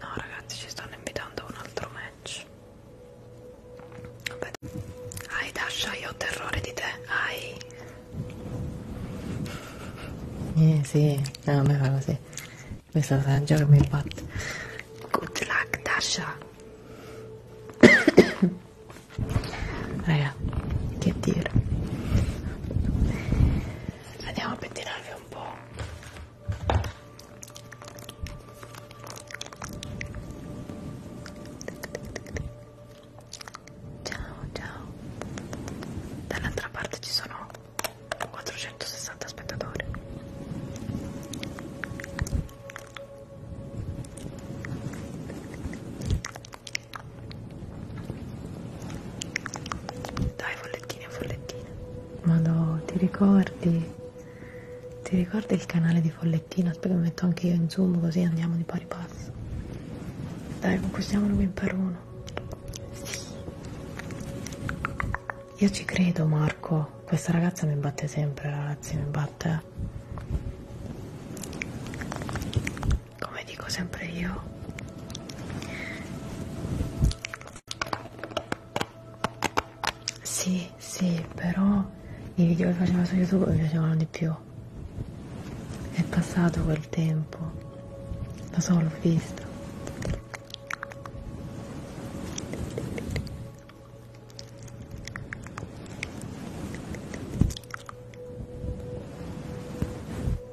No ragazzi ci stanno invitando a un altro match Vabbè. Ai Dasha io ho terrore di te Ai Eh sì No a me fa così Questo sarà un gioco che mi batte Good luck Dasha Raga che dire andiamo a pettinarvi un po' ciao ciao dall'altra parte ci sono 460 spettatori dai, follettine, follettine. Ma no, ti ricordi? Ti ricordi il canale di follettino? Aspetta che metto anche io in zoom così andiamo di pari passo. Dai, conquistiamolo qui in Peruno. Sì. Io ci credo Marco, questa ragazza mi batte sempre, ragazzi, mi batte come dico sempre io sì sì però i video che facevano su youtube mi piacevano di più è passato quel tempo lo so l'ho visto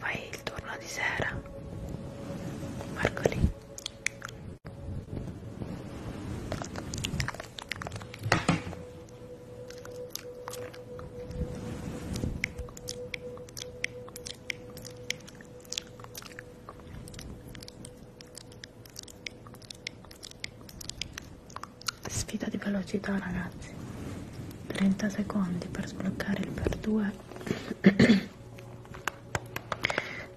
Fai il turno di sera, Marcoli. Sfida di velocità ragazzi, 30 secondi per sbloccare il per 2.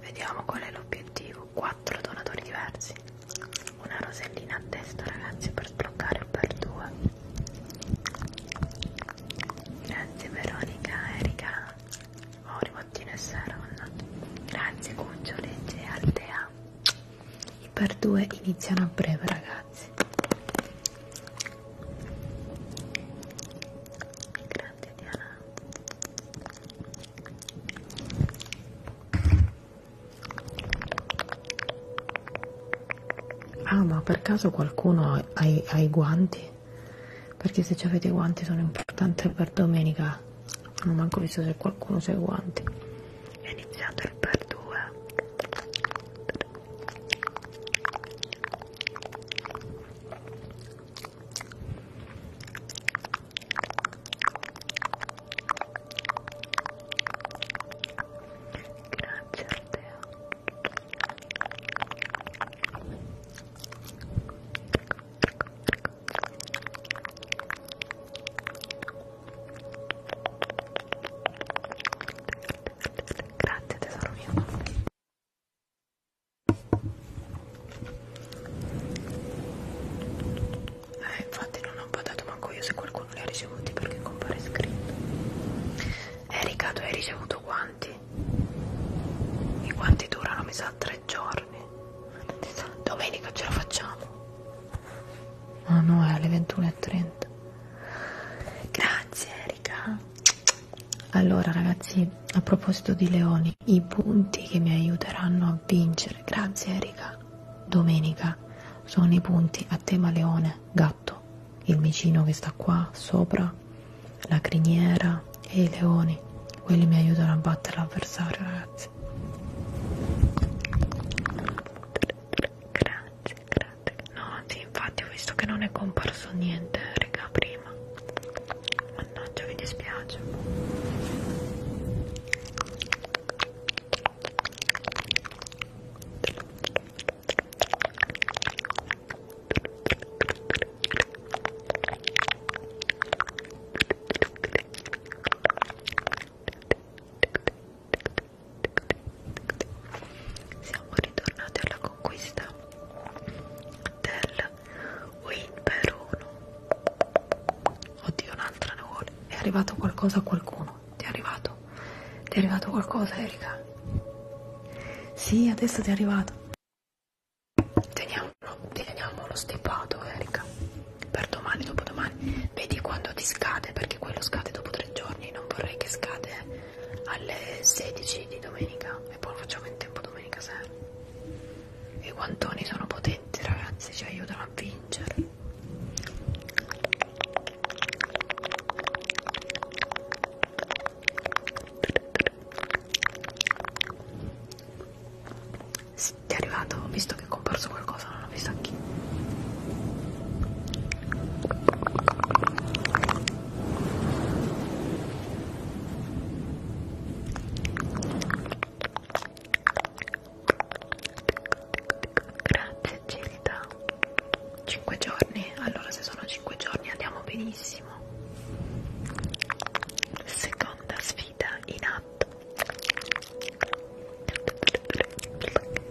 Vediamo qual è l'obiettivo, 4 donatori diversi. Una rosellina a testa ragazzi per sbloccare il per 2. Grazie Veronica, Erika, Mauri, Bottino e Saron. Grazie Cuccio, Legge, Altea. I per due iniziano a breve ragazzi. Grazie Diana. Ah, ma per caso qualcuno ha i guanti? perché se ci avete i guanti sono importanti per domenica non ho manco visto se qualcuno usa i guanti è iniziato il per due grazie a te Grazie tesoro mio. Eh, infatti non ho pagato manco io se qualcuno li ha ricevuti perché compare scritto. Erika, eh, tu hai ricevuto quanti? quanti? E quanti durano? Mi sa tre giorni. Domenica ce la facciamo. Ah oh no, è alle 21.30. Grazie Erika. Allora ragazzi, a proposito di leoni, i punti che mi aiuteranno a vincere, grazie Erika, domenica sono i punti a tema leone, gatto, il micino che sta qua sopra Natura, la criniera e i leoni. Quelli mi aiutano a battere l'avversario, ragazzi. Grazie, grazie. No, sì, infatti ho visto che non è comparso niente, raga, prima. Mannaggia, mi dispiace. Siamo ritornati alla conquista del Winperuno. Oddio, un'altra ne vuole. È arrivato qualcosa a qualcuno. Ti è arrivato? Ti è arrivato qualcosa, Erika? Sì, adesso ti è arrivato. Teniamolo, teniamo lo stipato, Erika. Per domani, dopodomani. Vedi quando ti scade, perché quello scade dopo tre giorni. Non vorrei che scade alle 16 di domenica. E poi lo facciamo in tempo domenica sera. I guantoni sono potenti, ragazzi, ci aiutano a vincere. Sì, è arrivato, ho visto che è comparso qualcosa, non ho visto anche Grazie Gilda 5 giorni? Allora se sono 5 giorni andiamo benissimo benissimo. Seconda sfida in atto.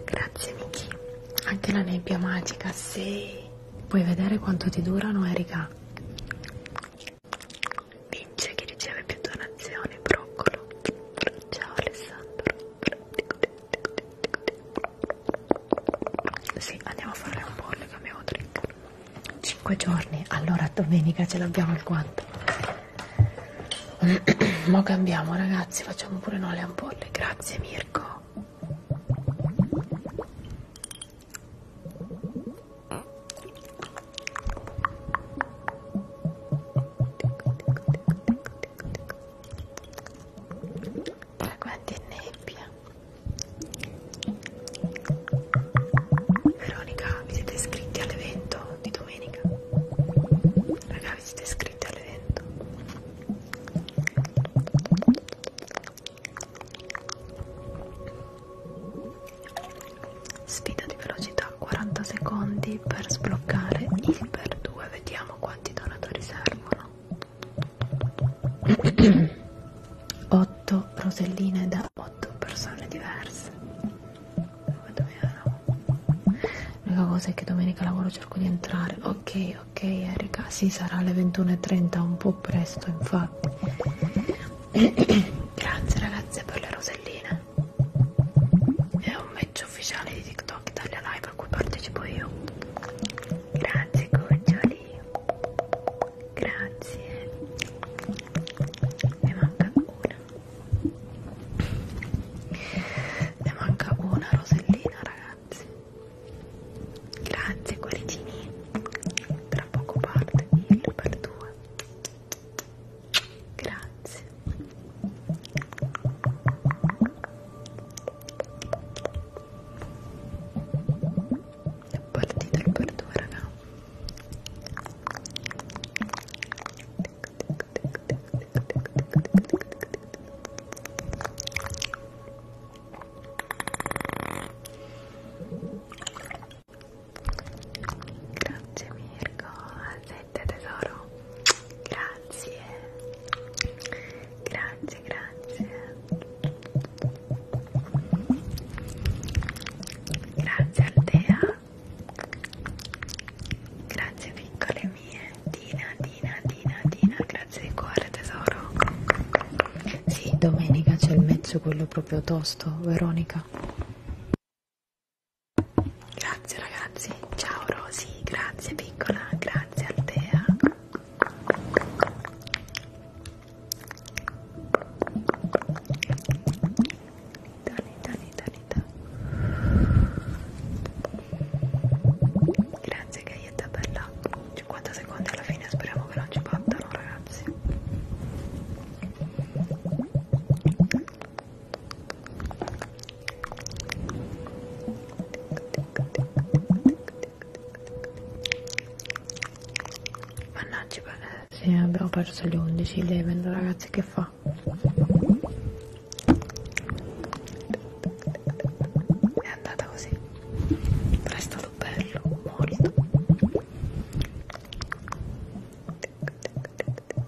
Grazie Miki. Anche la nebbia magica, sì. Puoi vedere quanto ti durano, Erika. Vince chi riceve più donazioni, broccolo. Ciao Alessandro. Sì, andiamo a fare un pollo che abbiamo trick. 5 giorni, allora domenica ce l'abbiamo il guanto. Mo cambiamo ragazzi, facciamo pure noi le ampolle. Grazie Mirko. Guardi è nebbia. Veronica, vi siete iscritti all'evento di domenica? Raga, vi siete iscritti all'evento? Sfida di velocità, 40 secondi per sbloccare il per 2, vediamo quanti donatori servono. 8 roselline da 8 persone diverse l'unica cosa è che domenica lavoro cerco di entrare ok ok Erika si sì, sarà alle 21.30 un po' presto infatti grazie ragazze per le roselline è un match ufficiale di TikTok Italia Live a cui partecipo io grazie cuccioli grazie ne manca una ne manca una rosellina ragazzi grazie cuoricini tra poco parte il per due grazie è partita il per due raga Grazie Mirko, al 7 tesoro. Grazie. Grazie, grazie. Grazie Aldea. Grazie piccole mie. Dina, Dina, Dina, Dina. Grazie di cuore tesoro. Sì, domenica c'è il mezzo quello proprio tosto, Veronica. Grazie ragazzi. Ciao Rosy. Grazie piccola. Grazie Aldea. Dani, Dani, Dani, Dani. Grazie Gaietta bella. 50 secondi alla fine, speriamo che non ci battano ragazzi. Tic, tic, tic, tic, tic, tic, Mannaggia, eh, sì, abbiamo perso le 11, le vendo ragazzi, che fa? È andata così, però è stato bello, molto.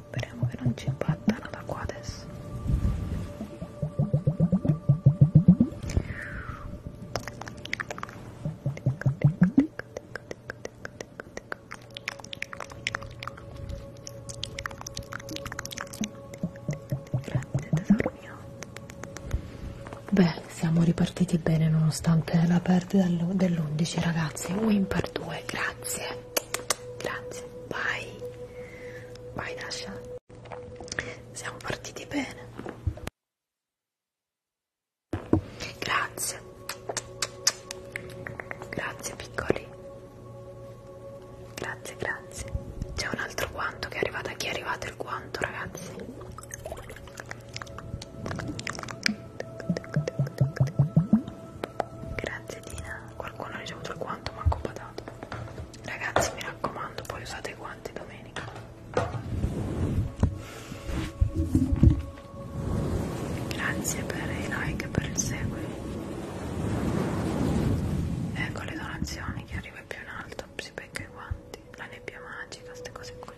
Speriamo che non ci impattano da qua adesso. Grazie tesoro mio. Beh, siamo ripartiti bene nonostante la perdita dell'11 ragazzi. Win per 2, grazie. Grazie, vai. Vai Dasha. Siamo partiti bene. Grazie. Grazie piccoli. Grazie, grazie. C'è un altro guanto che è arrivato. A chi è arrivato il guanto, ragazzi? Grazie Dina. Qualcuno ha ricevuto il guanto, manco patato. Ragazzi, mi raccomando, poi usate i guanti domenica. Grazie per i like e per il segui. Ecco le donazioni, chi arriva più in alto si becca i guanti, la nebbia magica, queste cose qui.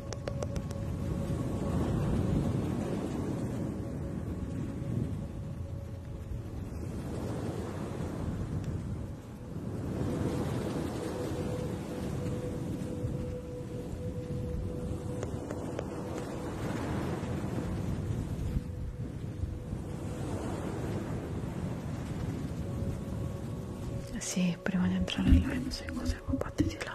Sì, prima di entrare là, non so cose compatte di là.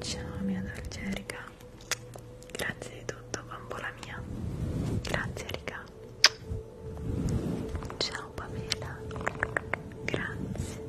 Ciao mia dolce Erika, grazie di tutto bambola mia, grazie Erika, ciao Pamela, grazie.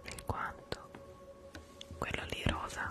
Per quanto quello lì rosa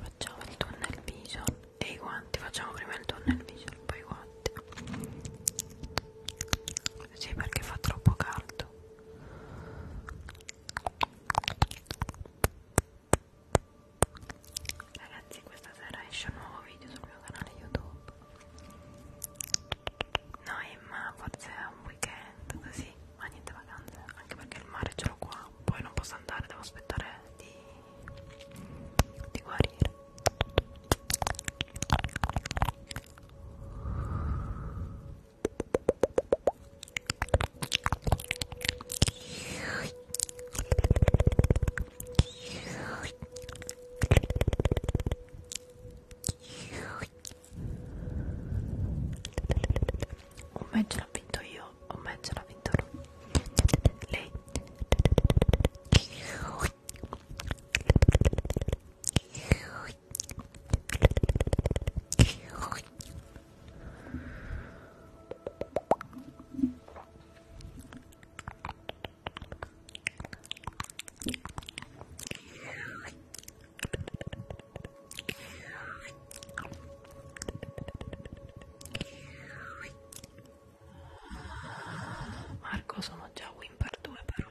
facciamo il tunnel vision e i guanti facciamo prima il tunnel vision poi i guanti sì perché fa troppo caldo ragazzi questa sera esce un nuovo video sul mio canale youtube no Emma forse è un weekend così ma niente vacanze anche perché il mare ce l'ho qua poi non posso andare devo aspettare di, di guarire un match l'ho vinto io un match l'ha vinto lei Marco sono già win per due però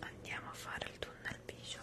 Andiamo a fare il tunnel vision.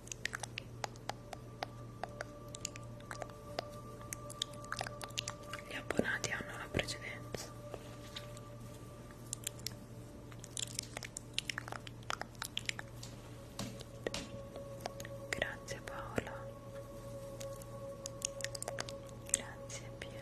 Gli abbonati hanno la precedenza. Grazie Paola. Grazie Pia.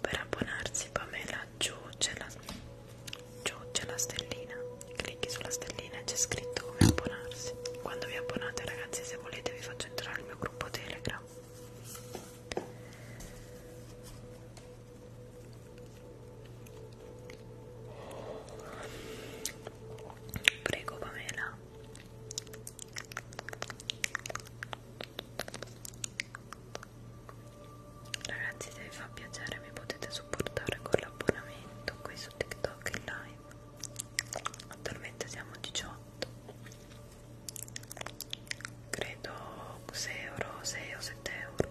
Per abbonarsi Pamela giù c'è la, la stellina, clicchi sulla stellina e c'è scritto come abbonarsi. Quando vi abbonate ragazzi se volete vi faccio entrare il mio gruppo Telegram prego Pamela ragazzi se vi fa piacere mi potete supportare con l'abbonamento qui su TikTok e live attualmente siamo 18 credo 6 euro 6 o 7 euro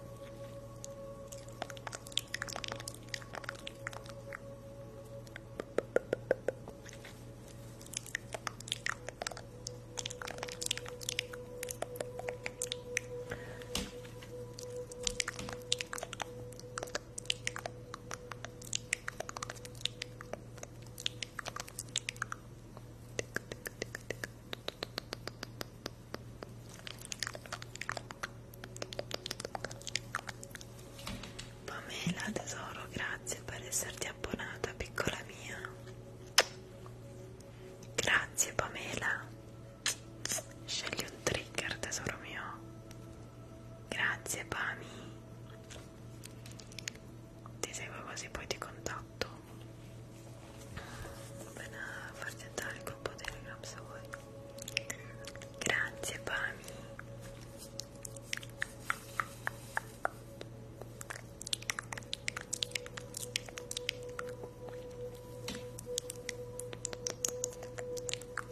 Pamela tesoro, grazie per esserti abbonata, piccola mia. Grazie Pamela. Scegli un trigger, tesoro mio. Grazie Pami. Ti seguo così poi ti contatto. Appena farti entrare il gruppo Telegram se vuoi. Grazie Pami.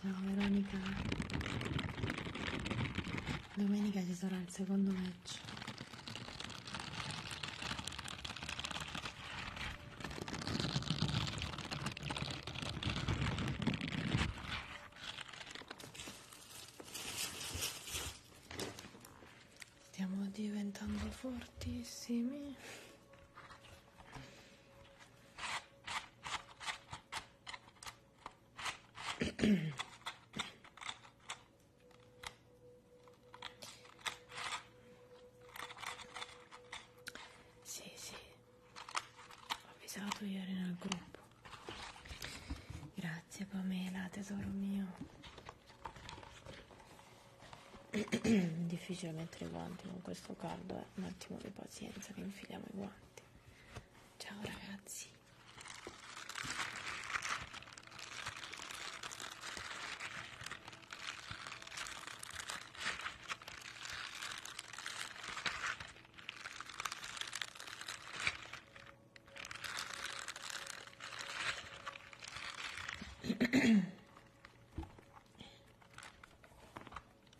Ciao Veronica. Domenica ci sarà il secondo match. Stiamo diventando fortissimi. Sì, sì, ho avvisato ieri nel gruppo. Grazie Pamela, tesoro mio. Difficile mettere i guanti con questo caldo, eh. Un attimo di pazienza pazienza che infiliamo i guanti. Ciao ragazzi.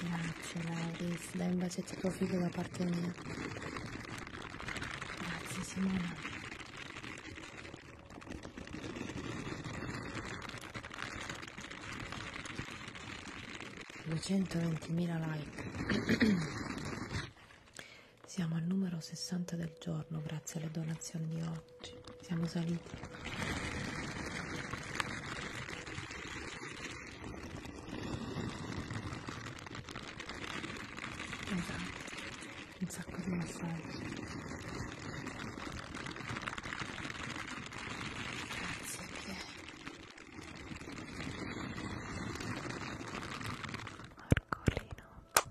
Grazie Lauris, dai un bacetto a tuo figlio da parte mia. Grazie Simona. Duecentoventimila like. Siamo al numero 60 del giorno grazie alle donazioni di oggi. Siamo saliti. Esatto, un sacco di messaggi. Grazie Pierre. Marcolino.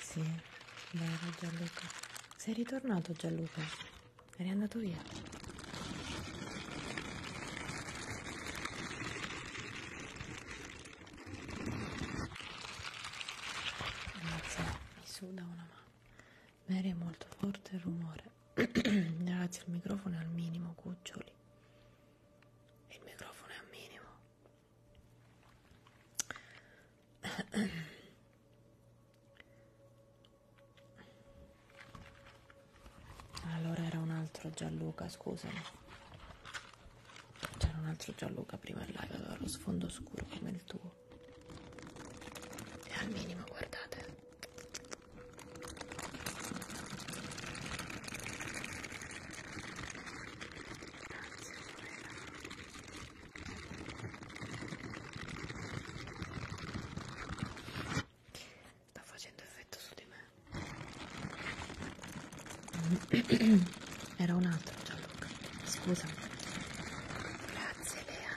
Sì, vero Gianluca. Sei ritornato Gianluca. Eri andato via. Ragazzi, mi suda una mano. Mary è molto forte il rumore. Ragazzi, il microfono è al minimo, cuccioli. Il microfono è al minimo. Allora era un altro Gianluca, scusami. C'era un altro Gianluca prima in live, aveva lo sfondo scuro come il tuo. E al minimo, guardate. Sta facendo effetto su di me. Era un altro Gianluca. Scusa. Grazie Lea.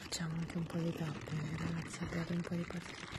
Facciamo anche un po' di tappe, ragazzi, abbiate un po' di pazienza.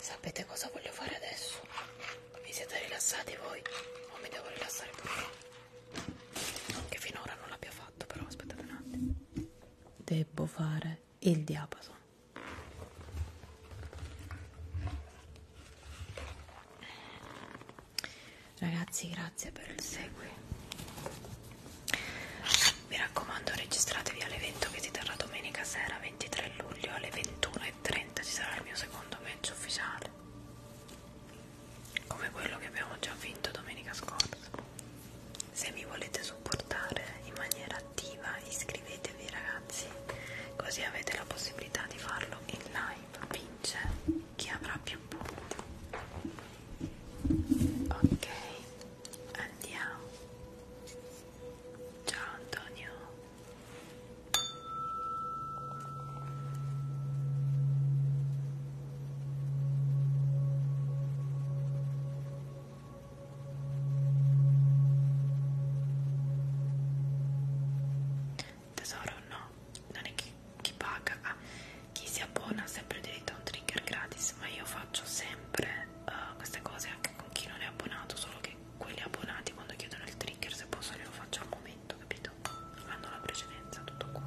Sapete cosa voglio fare adesso? Vi siete rilassati voi? O mi devo rilassare pure io? Non che finora non l'abbia fatto, però aspettate un attimo. Devo fare il diapason. Ragazzi, grazie per il segui. Mi raccomando, registratevi all'evento che si terrà domenica sera 23 luglio alle 21.30. Ci sarà il mio secondo match ufficiale, come quello che abbiamo già vinto domenica scorsa. Se mi volete supportare in maniera attiva, iscrivetevi, ragazzi, così avete la possibilità di farlo in live vince chi avrà più punti ok andiamo ciao Antonio tesoro no non è chi, chi paga ah, chi si abbona ha sempre diritto a un trigger gratis ma io faccio sempre uh, queste cose anche con chi non è abbonato solo che quelli abbonati quando chiedono il trigger se posso glielo faccio al momento capito? hanno la precedenza tutto qua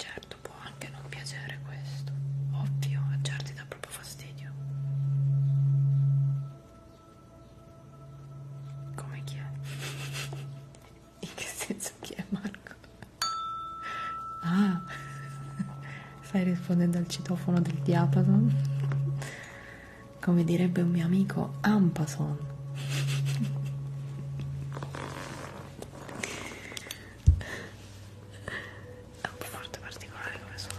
Certo può anche non piacere questo, ovvio, a certi dà proprio fastidio. Come chi è? In che senso chi è Marco? Ah, stai rispondendo al citofono del diapason? Come direbbe un mio amico, Ampason. È un po' molto particolare come suono.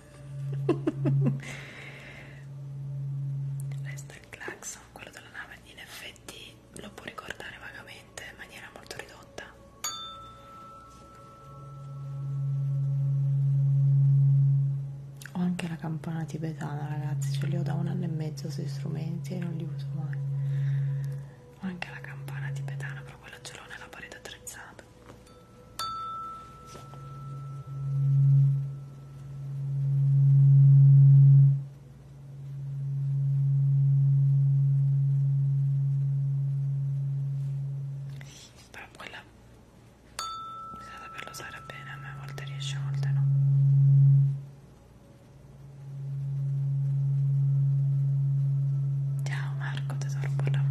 Resta il clacson, quello della nave, in effetti lo può ricordare vagamente in maniera molto ridotta. Ho anche la campana tibetana, ragazzi, ce li ho da un anno e mezzo sui strumenti e non li uso mai. Ho anche la campana tibetana, però quella ce l'ho nella parete attrezzata. Però quella bisogna saperla usare bene, a me a volte riesce, a volte no. Ciao Marco, tesoro, buon lavoro.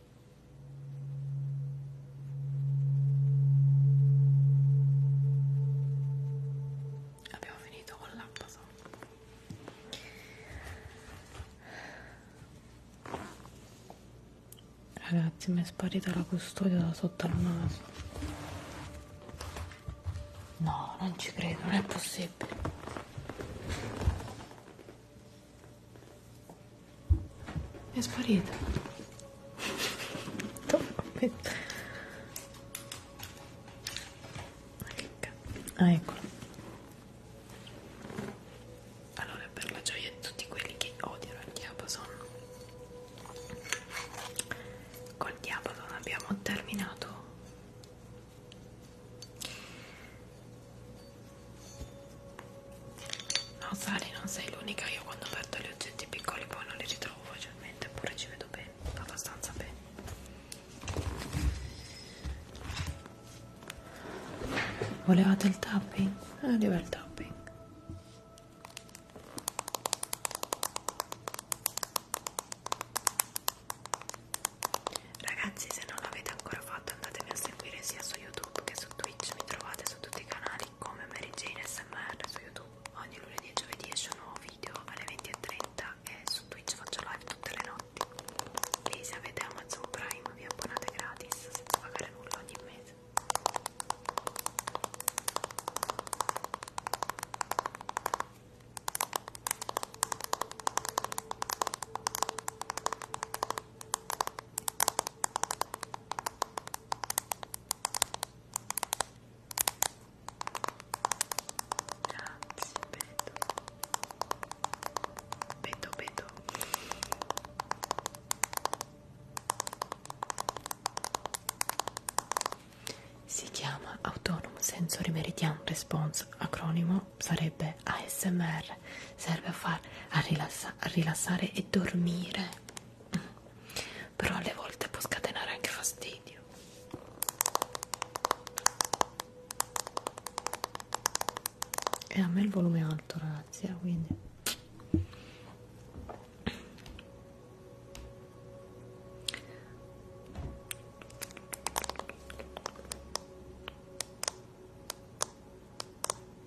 Abbiamo finito con l'abbaso. Ragazzi, mi è sparita la custodia da sotto al naso. No, non ci credo, non è possibile. È sparito. Ah, eccolo. Allora, per la gioia di tutti quelli che odiano il diapason, col diapason abbiamo terminato No Sari non sei l'unica, io quando perdo gli oggetti piccoli poi non li ritrovo facilmente, eppure ci vedo bene, abbastanza bene. Volevate il tapping? Arriva eh, il tapping. Ragazzi se non l'avete ancora fatto andatemi a seguire sia su YouTube che su su Twitch, mi trovate su tutti i canali come Mary Jane SMR su YouTube. Ogni lunedì e giovedì esce un nuovo video alle 20.30 e, e su Twitch faccio live tutte le notti. E se avete Amazon Prime vi abbonate gratis senza pagare nulla ogni mese. Grazie, Beto. Beto, Beto. Si chiama Autonomous Sensory Meridian Response, acronimo sarebbe ASMR serve a far a, rilassa, a rilassare e dormire mm. però alle volte può scatenare anche fastidio e a me il volume è alto ragazzi eh, quindi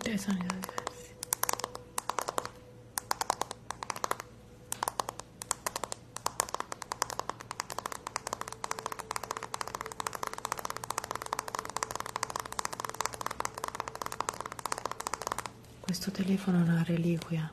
Tre sono diversi. Questo telefono è una reliquia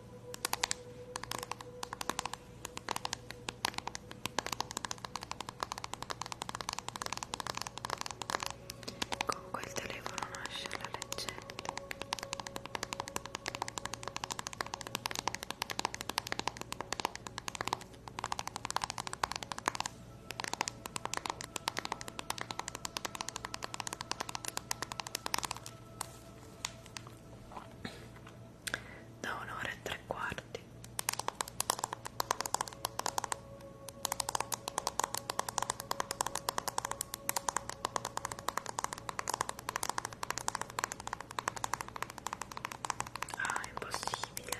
Con quel telefono nasce la leggenda da un'ora e tre quarti Ah, è impossibile.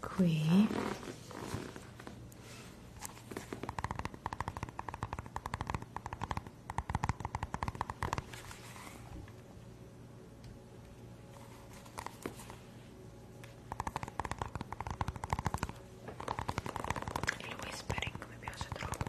qui il whispering mi piace troppo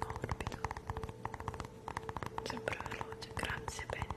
morbido sempre veloce grazie Penny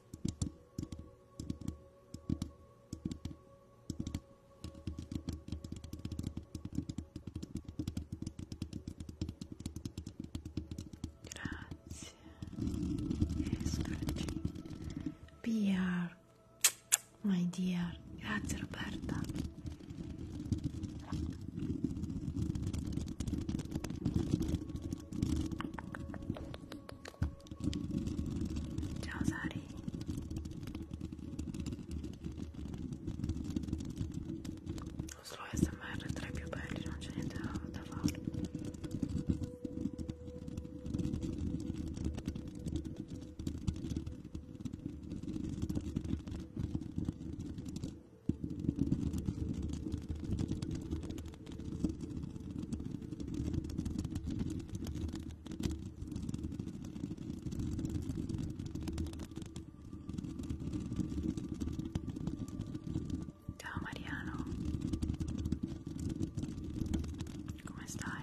Grazie. Escroci. PR. My dear. Grazie Roberta. Ciao Sari. Lo slow smr tra i più belli, non c'è niente da, da fare. Ciao então, Mariano, Como está?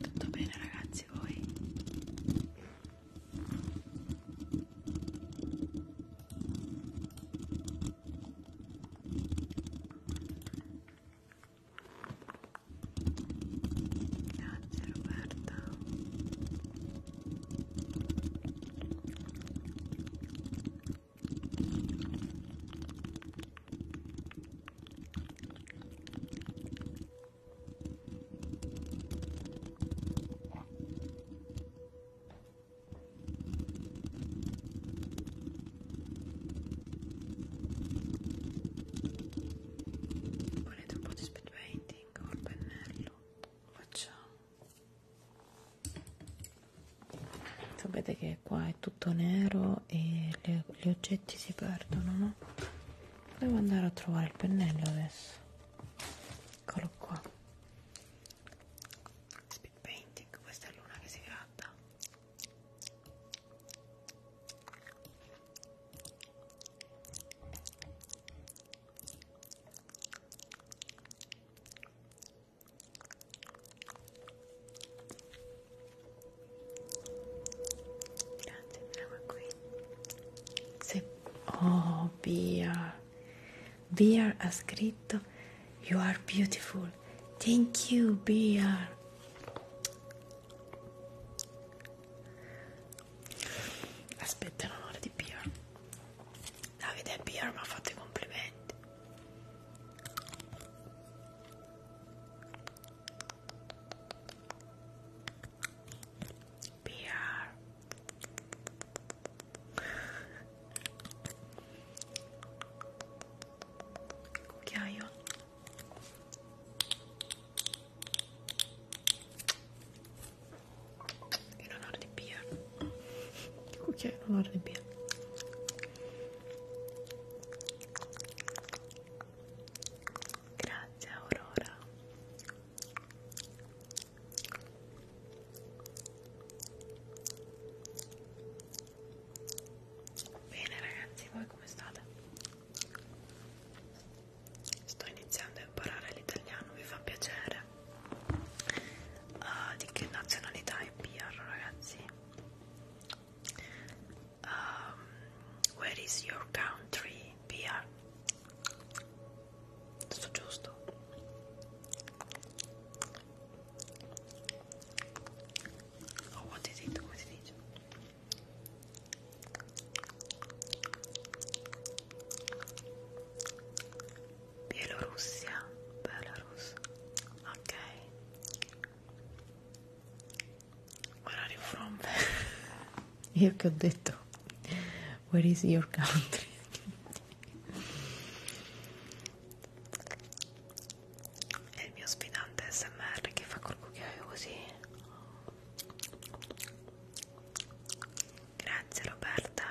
Tutto bene ragazzi voi? Grazie Roberta Volete un po' di speed painting col pennello? Facciamo. Sapete che qua è tutto nero mano e le, gli oggetti si perdono, no? Devo andare a trovare il pennello adesso. Eccolo qua. Speed painting, questa è l'una che si gratta. Grazie, andiamo qui. Se... Oh, Beer. Beer ha scritto You are beautiful. Thank you, Beer. Aspetta l'onore di Beer. Davide e Beer mi ha fatto i complimenti beer cucchiaio in onore di beer che cucchiaio in onore di beer Grazie Aurora. Bene ragazzi, voi come state? Sto iniziando a imparare l'italiano, mi fa piacere. Uh, di che nazionalità è Pierro ragazzi? Um, where is your country, Pia? Sto giusto? Oh, what did it? What did it? Bielorussia, Belarus. Okay. Where are you from? Io che ho detto Where is your country? È il mio sfidante SMR che fa col cucchiaio così. Grazie Roberta.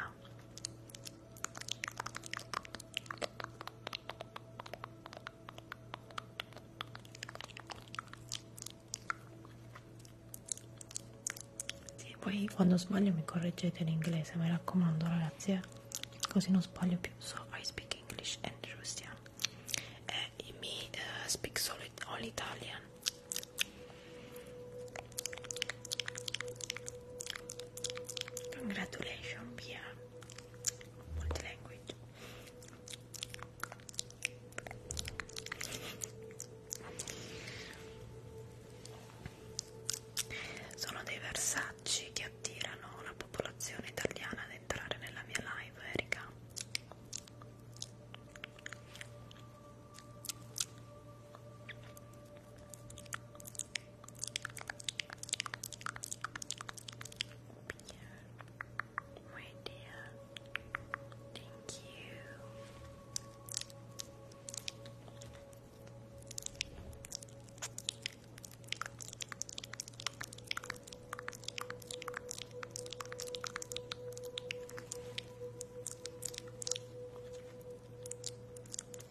Sì, poi quando sbaglio mi correggete in inglese, mi raccomando ragazzi, eh? così non sbaglio più. So I speak English and Russian. Eh, e mi uh, speak solo all Italian. Congratulations, Pia. Multilanguage. Sono dei versacci che attirano la popolazione italiana ad entrare nella mia live, Erika. Yeah my dear. Thank you.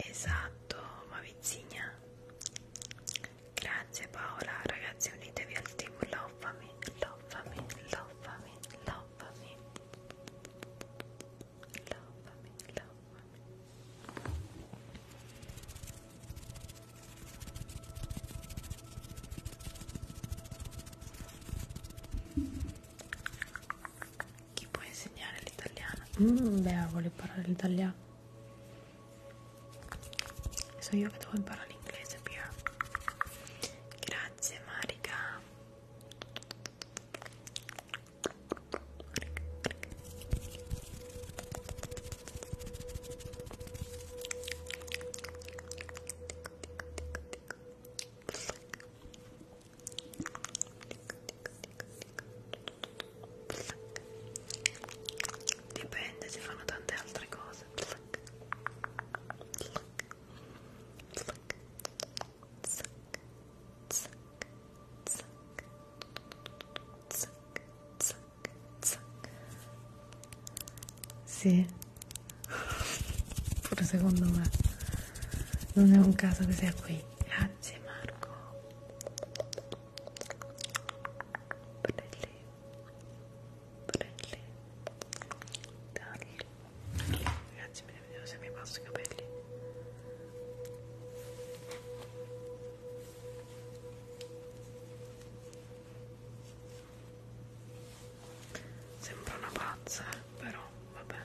Esatto, ma vizzigna. Grazie Paola, ragazzi unitevi al team lovami, lovami, lovami, lovami, lovami, lovami. Chi può insegnare l'italiano? Mm, beh, vuole imparare l'italiano so io che devo imparare l'inglese Pia grazie Marica Dipende, ci fanno tante altre cose close and look. Look. Look. Suck. Suck. Suck. Suck. Suck. Suck. Sì. Pure secondo me. Non è un caso che sia qui. Grazie Marco. Bellissimo ombrelli tagli ragazzi mi devo vedere se mi passo i capelli sembra una pazza però vabbè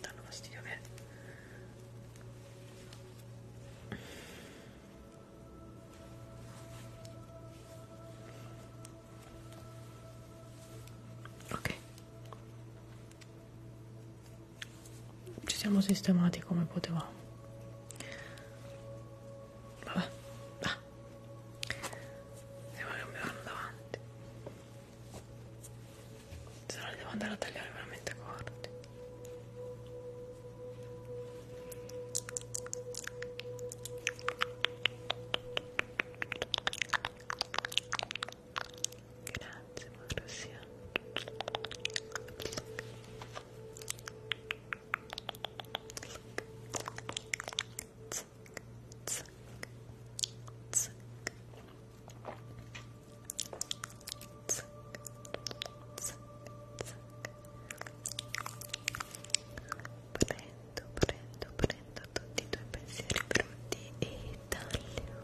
danno fastidio che Ok. Ci siamo sistemati come potevamo. Vabbè. Ah. Andiamo a cambiare davanti se no li devo andare a tagliare veramente corti grazie Marussia Zac, zac, zac, Zac, zac, zac. Prendo, prendo, prendo tutti i tuoi pensieri brutti e taglio.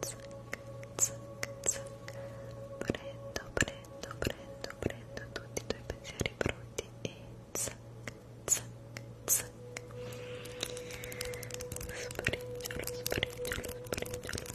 Zac, zac, zac. Prendo, prendo, prendo, prendo tutti i tuoi pensieri brutti e zac, zac, zac. Sprigiolo, sprigiolo, sprigiolo,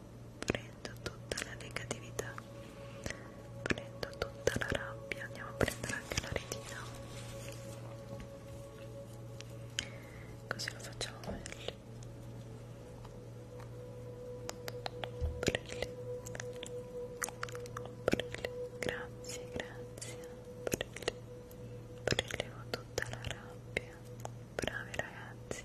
prendo tutta la negatività prendo tutta la rabbia andiamo a prendere anche la retina così lo facciamo meglio Brilli. Brilli. grazie grazie Brilli. Prelevo tutta la rabbia bravi ragazzi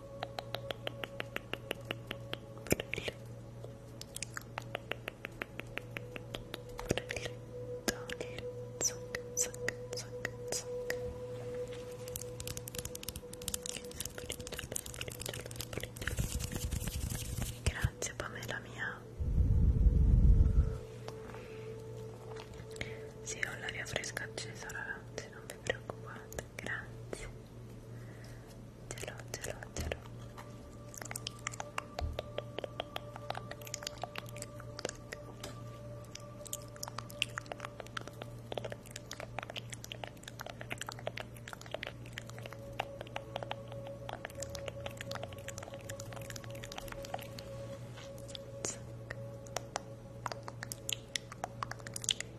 Grazie Pamela mia. Sì, ho l'aria fresca accesa ragazzi, non vi preoccupate grazie ce l'ho ce l'ho ce l'ho Zac.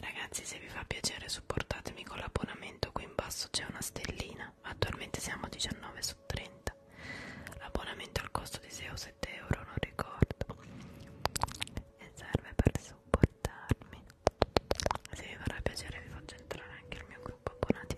Ragazzi, se vi fa piacere, supportatemi con l'abbonamento. Qui in basso c'è una stellina. Attualmente siamo a 19 su 30. L'abbonamento al costo di 6 o 7 euro, non ricordo. E serve per supportarmi. Se vi farà piacere, vi faccio entrare anche il mio gruppo abbonati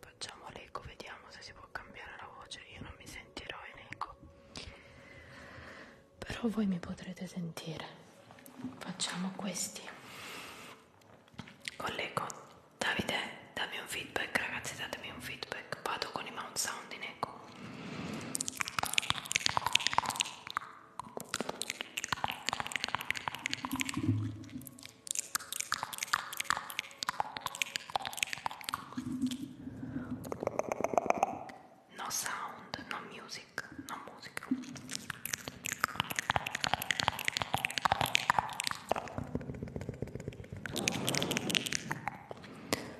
Facciamo l'eco, vediamo se si può cambiare la voce. Io non mi sentirò in eco, però voi mi potrete sentire. Facciamo questi con l'eco. Davide, dammi un feedback, ragazzi, datemi un feedback. Vado con i mount sound in eco. No sound, no music, no music.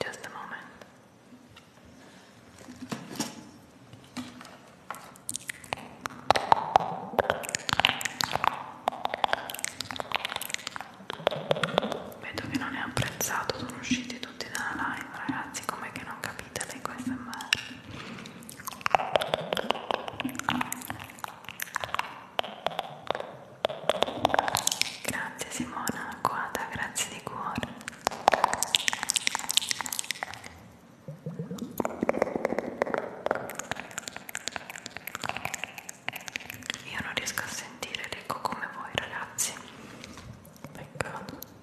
Just a moment. Vedo che non è apprezzato, sono usciti uscire tutti dalla live ragazzi com'è che non capite lei questa grazie Simona Quada grazie di cuore io non riesco a sentire l'eco come voi ragazzi peccato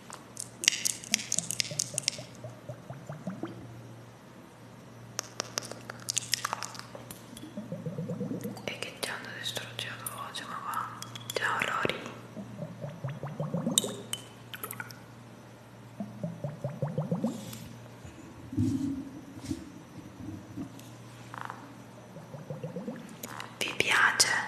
e che già hanno distrutto la voce ma va ciao Rory vi piace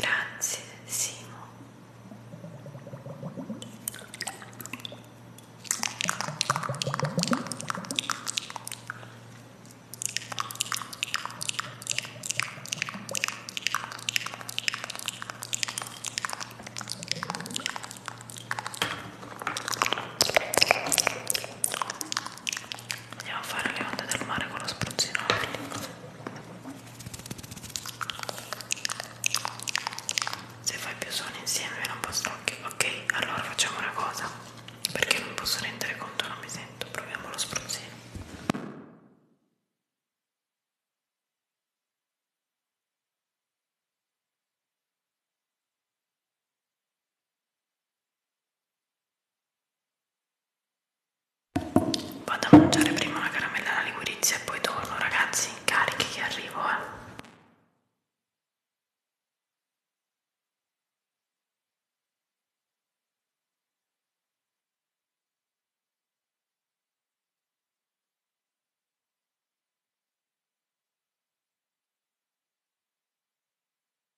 Grazie Simo andiamo a fare le onde del mare con lo spruzzino se fai più suoni insieme non posso ok, okay allora facciamo una cosa perché non posso rendere conto non mi sento proviamo lo spruzzino Vado a mangiare prima una caramella alla ligurizia e poi torno, ragazzi, carichi che arrivo, eh.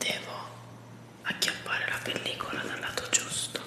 Devo acchiappare la pellicola dal lato giusto.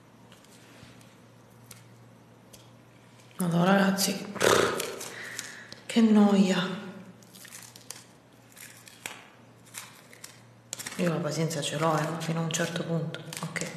Allora ragazzi, che noia. Io la pazienza ce l'ho, eh, ma fino a un certo punto. Ok.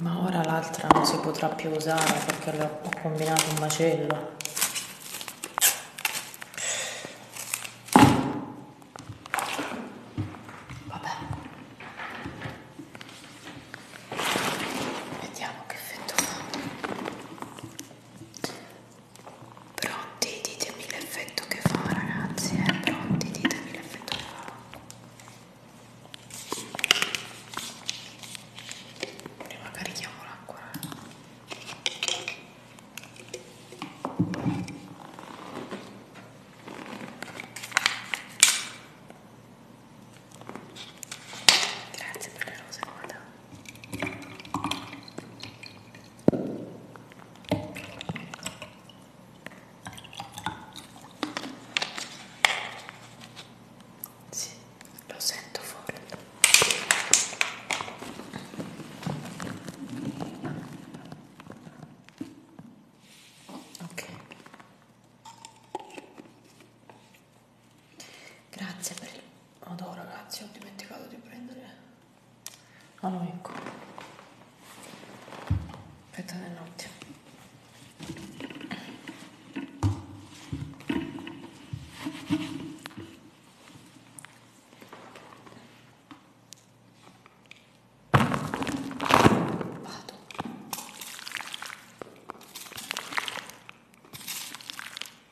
Ma ora l'altra non si potrà più usare perché ho combinato un macello. Vabbè. Vediamo che effetto fa. Pronti? Ditemi l'effetto che fa, ragazzi. Eh? Pronti? Ditemi l'effetto che fa. Prima carichiamo l'acqua. Eh. Grazie per le rose, guarda. Sì, lo sento fuori. Ok. Grazie per il odore, ragazzi, ho dimenticato di prendere Ah no, ecco. Aspetta un attimo.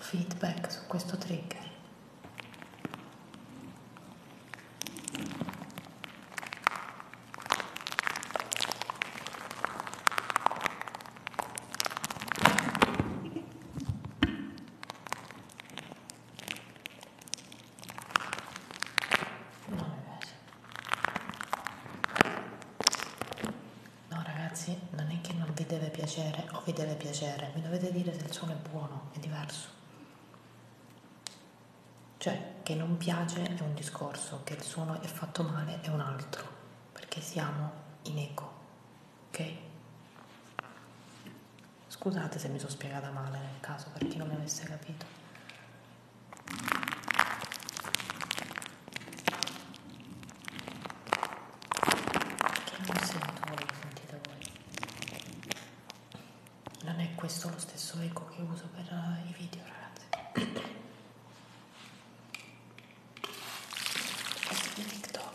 feedback su questo trigger. No, mi piace. No ragazzi, non è che non vi deve piacere o vi deve piacere, mi dovete dire se il suono è buono, è diverso. Cioè, che non piace è un discorso, che il suono è fatto male è un altro, perché siamo in eco, ok? Scusate se mi sono spiegata male nel caso, per chi non mi avesse capito. Che non sento quello che sentite voi. Non è questo lo stesso eco che uso per eh, i video, ragazzi. Questo di TikTok.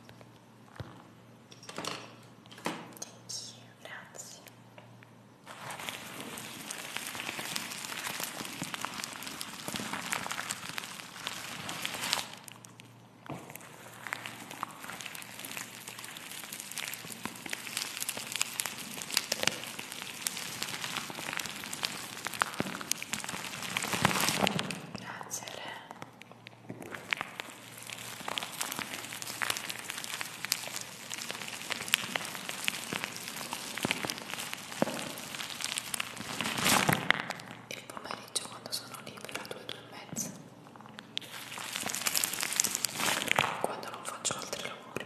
Thank you, grazie. Grazie Re. il pomeriggio quando sono libera due due e mezza quando non faccio altri lavori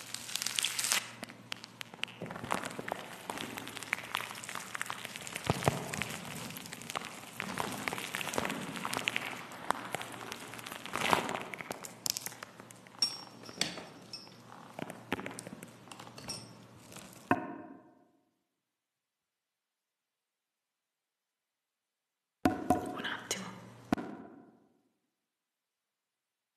un attimo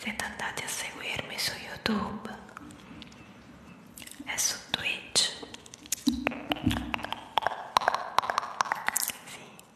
Siete andati a seguirmi su YouTube e su Twitch. Sì.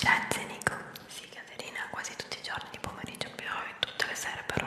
Grazie Nico. Sì, Caterina, quasi tutti i giorni di pomeriggio piove, tutte le sere però.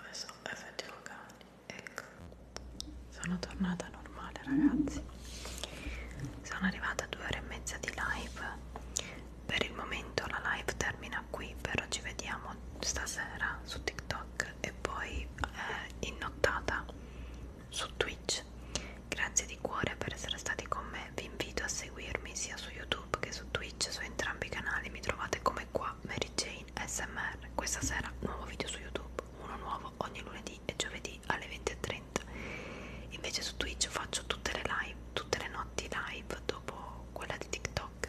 adesso effetti locali ecco sono tornata normale ragazzi sono arrivata a due ore e mezza di live per il momento la live termina qui però ci vediamo stasera su tiktok e poi eh, in nottata su twitch grazie di cuore per essere stati con me vi invito a seguirmi sia su youtube che su twitch su entrambi i canali mi trovate come qua qua Mary Jane SMR questa sera nuovo video su YouTube uno nuovo ogni lunedì e giovedì alle 20.30 invece su Twitch faccio tutte le live tutte le notti live dopo quella di TikTok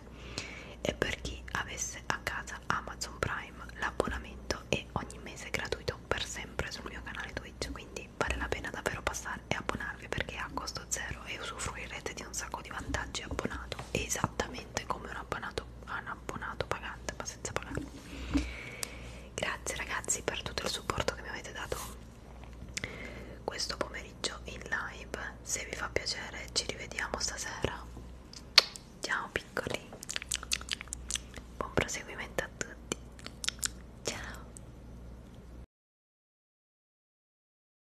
e per chi avesse a casa Amazon Prime l'abbonamento è ogni mese gratuito per sempre sul mio canale Twitch quindi vale la pena davvero passare e abbonarvi perché a costo costo zero e usufruirete di un sacco di vantaggi abbonato esattamente come un abbonato, un abbonato pagante ma senza pagare grazie ragazzi per tutto il supporto che mi avete dato questo pomeriggio in live se vi fa piacere ci rivediamo stasera ciao piccoli buon proseguimento a tutti ciao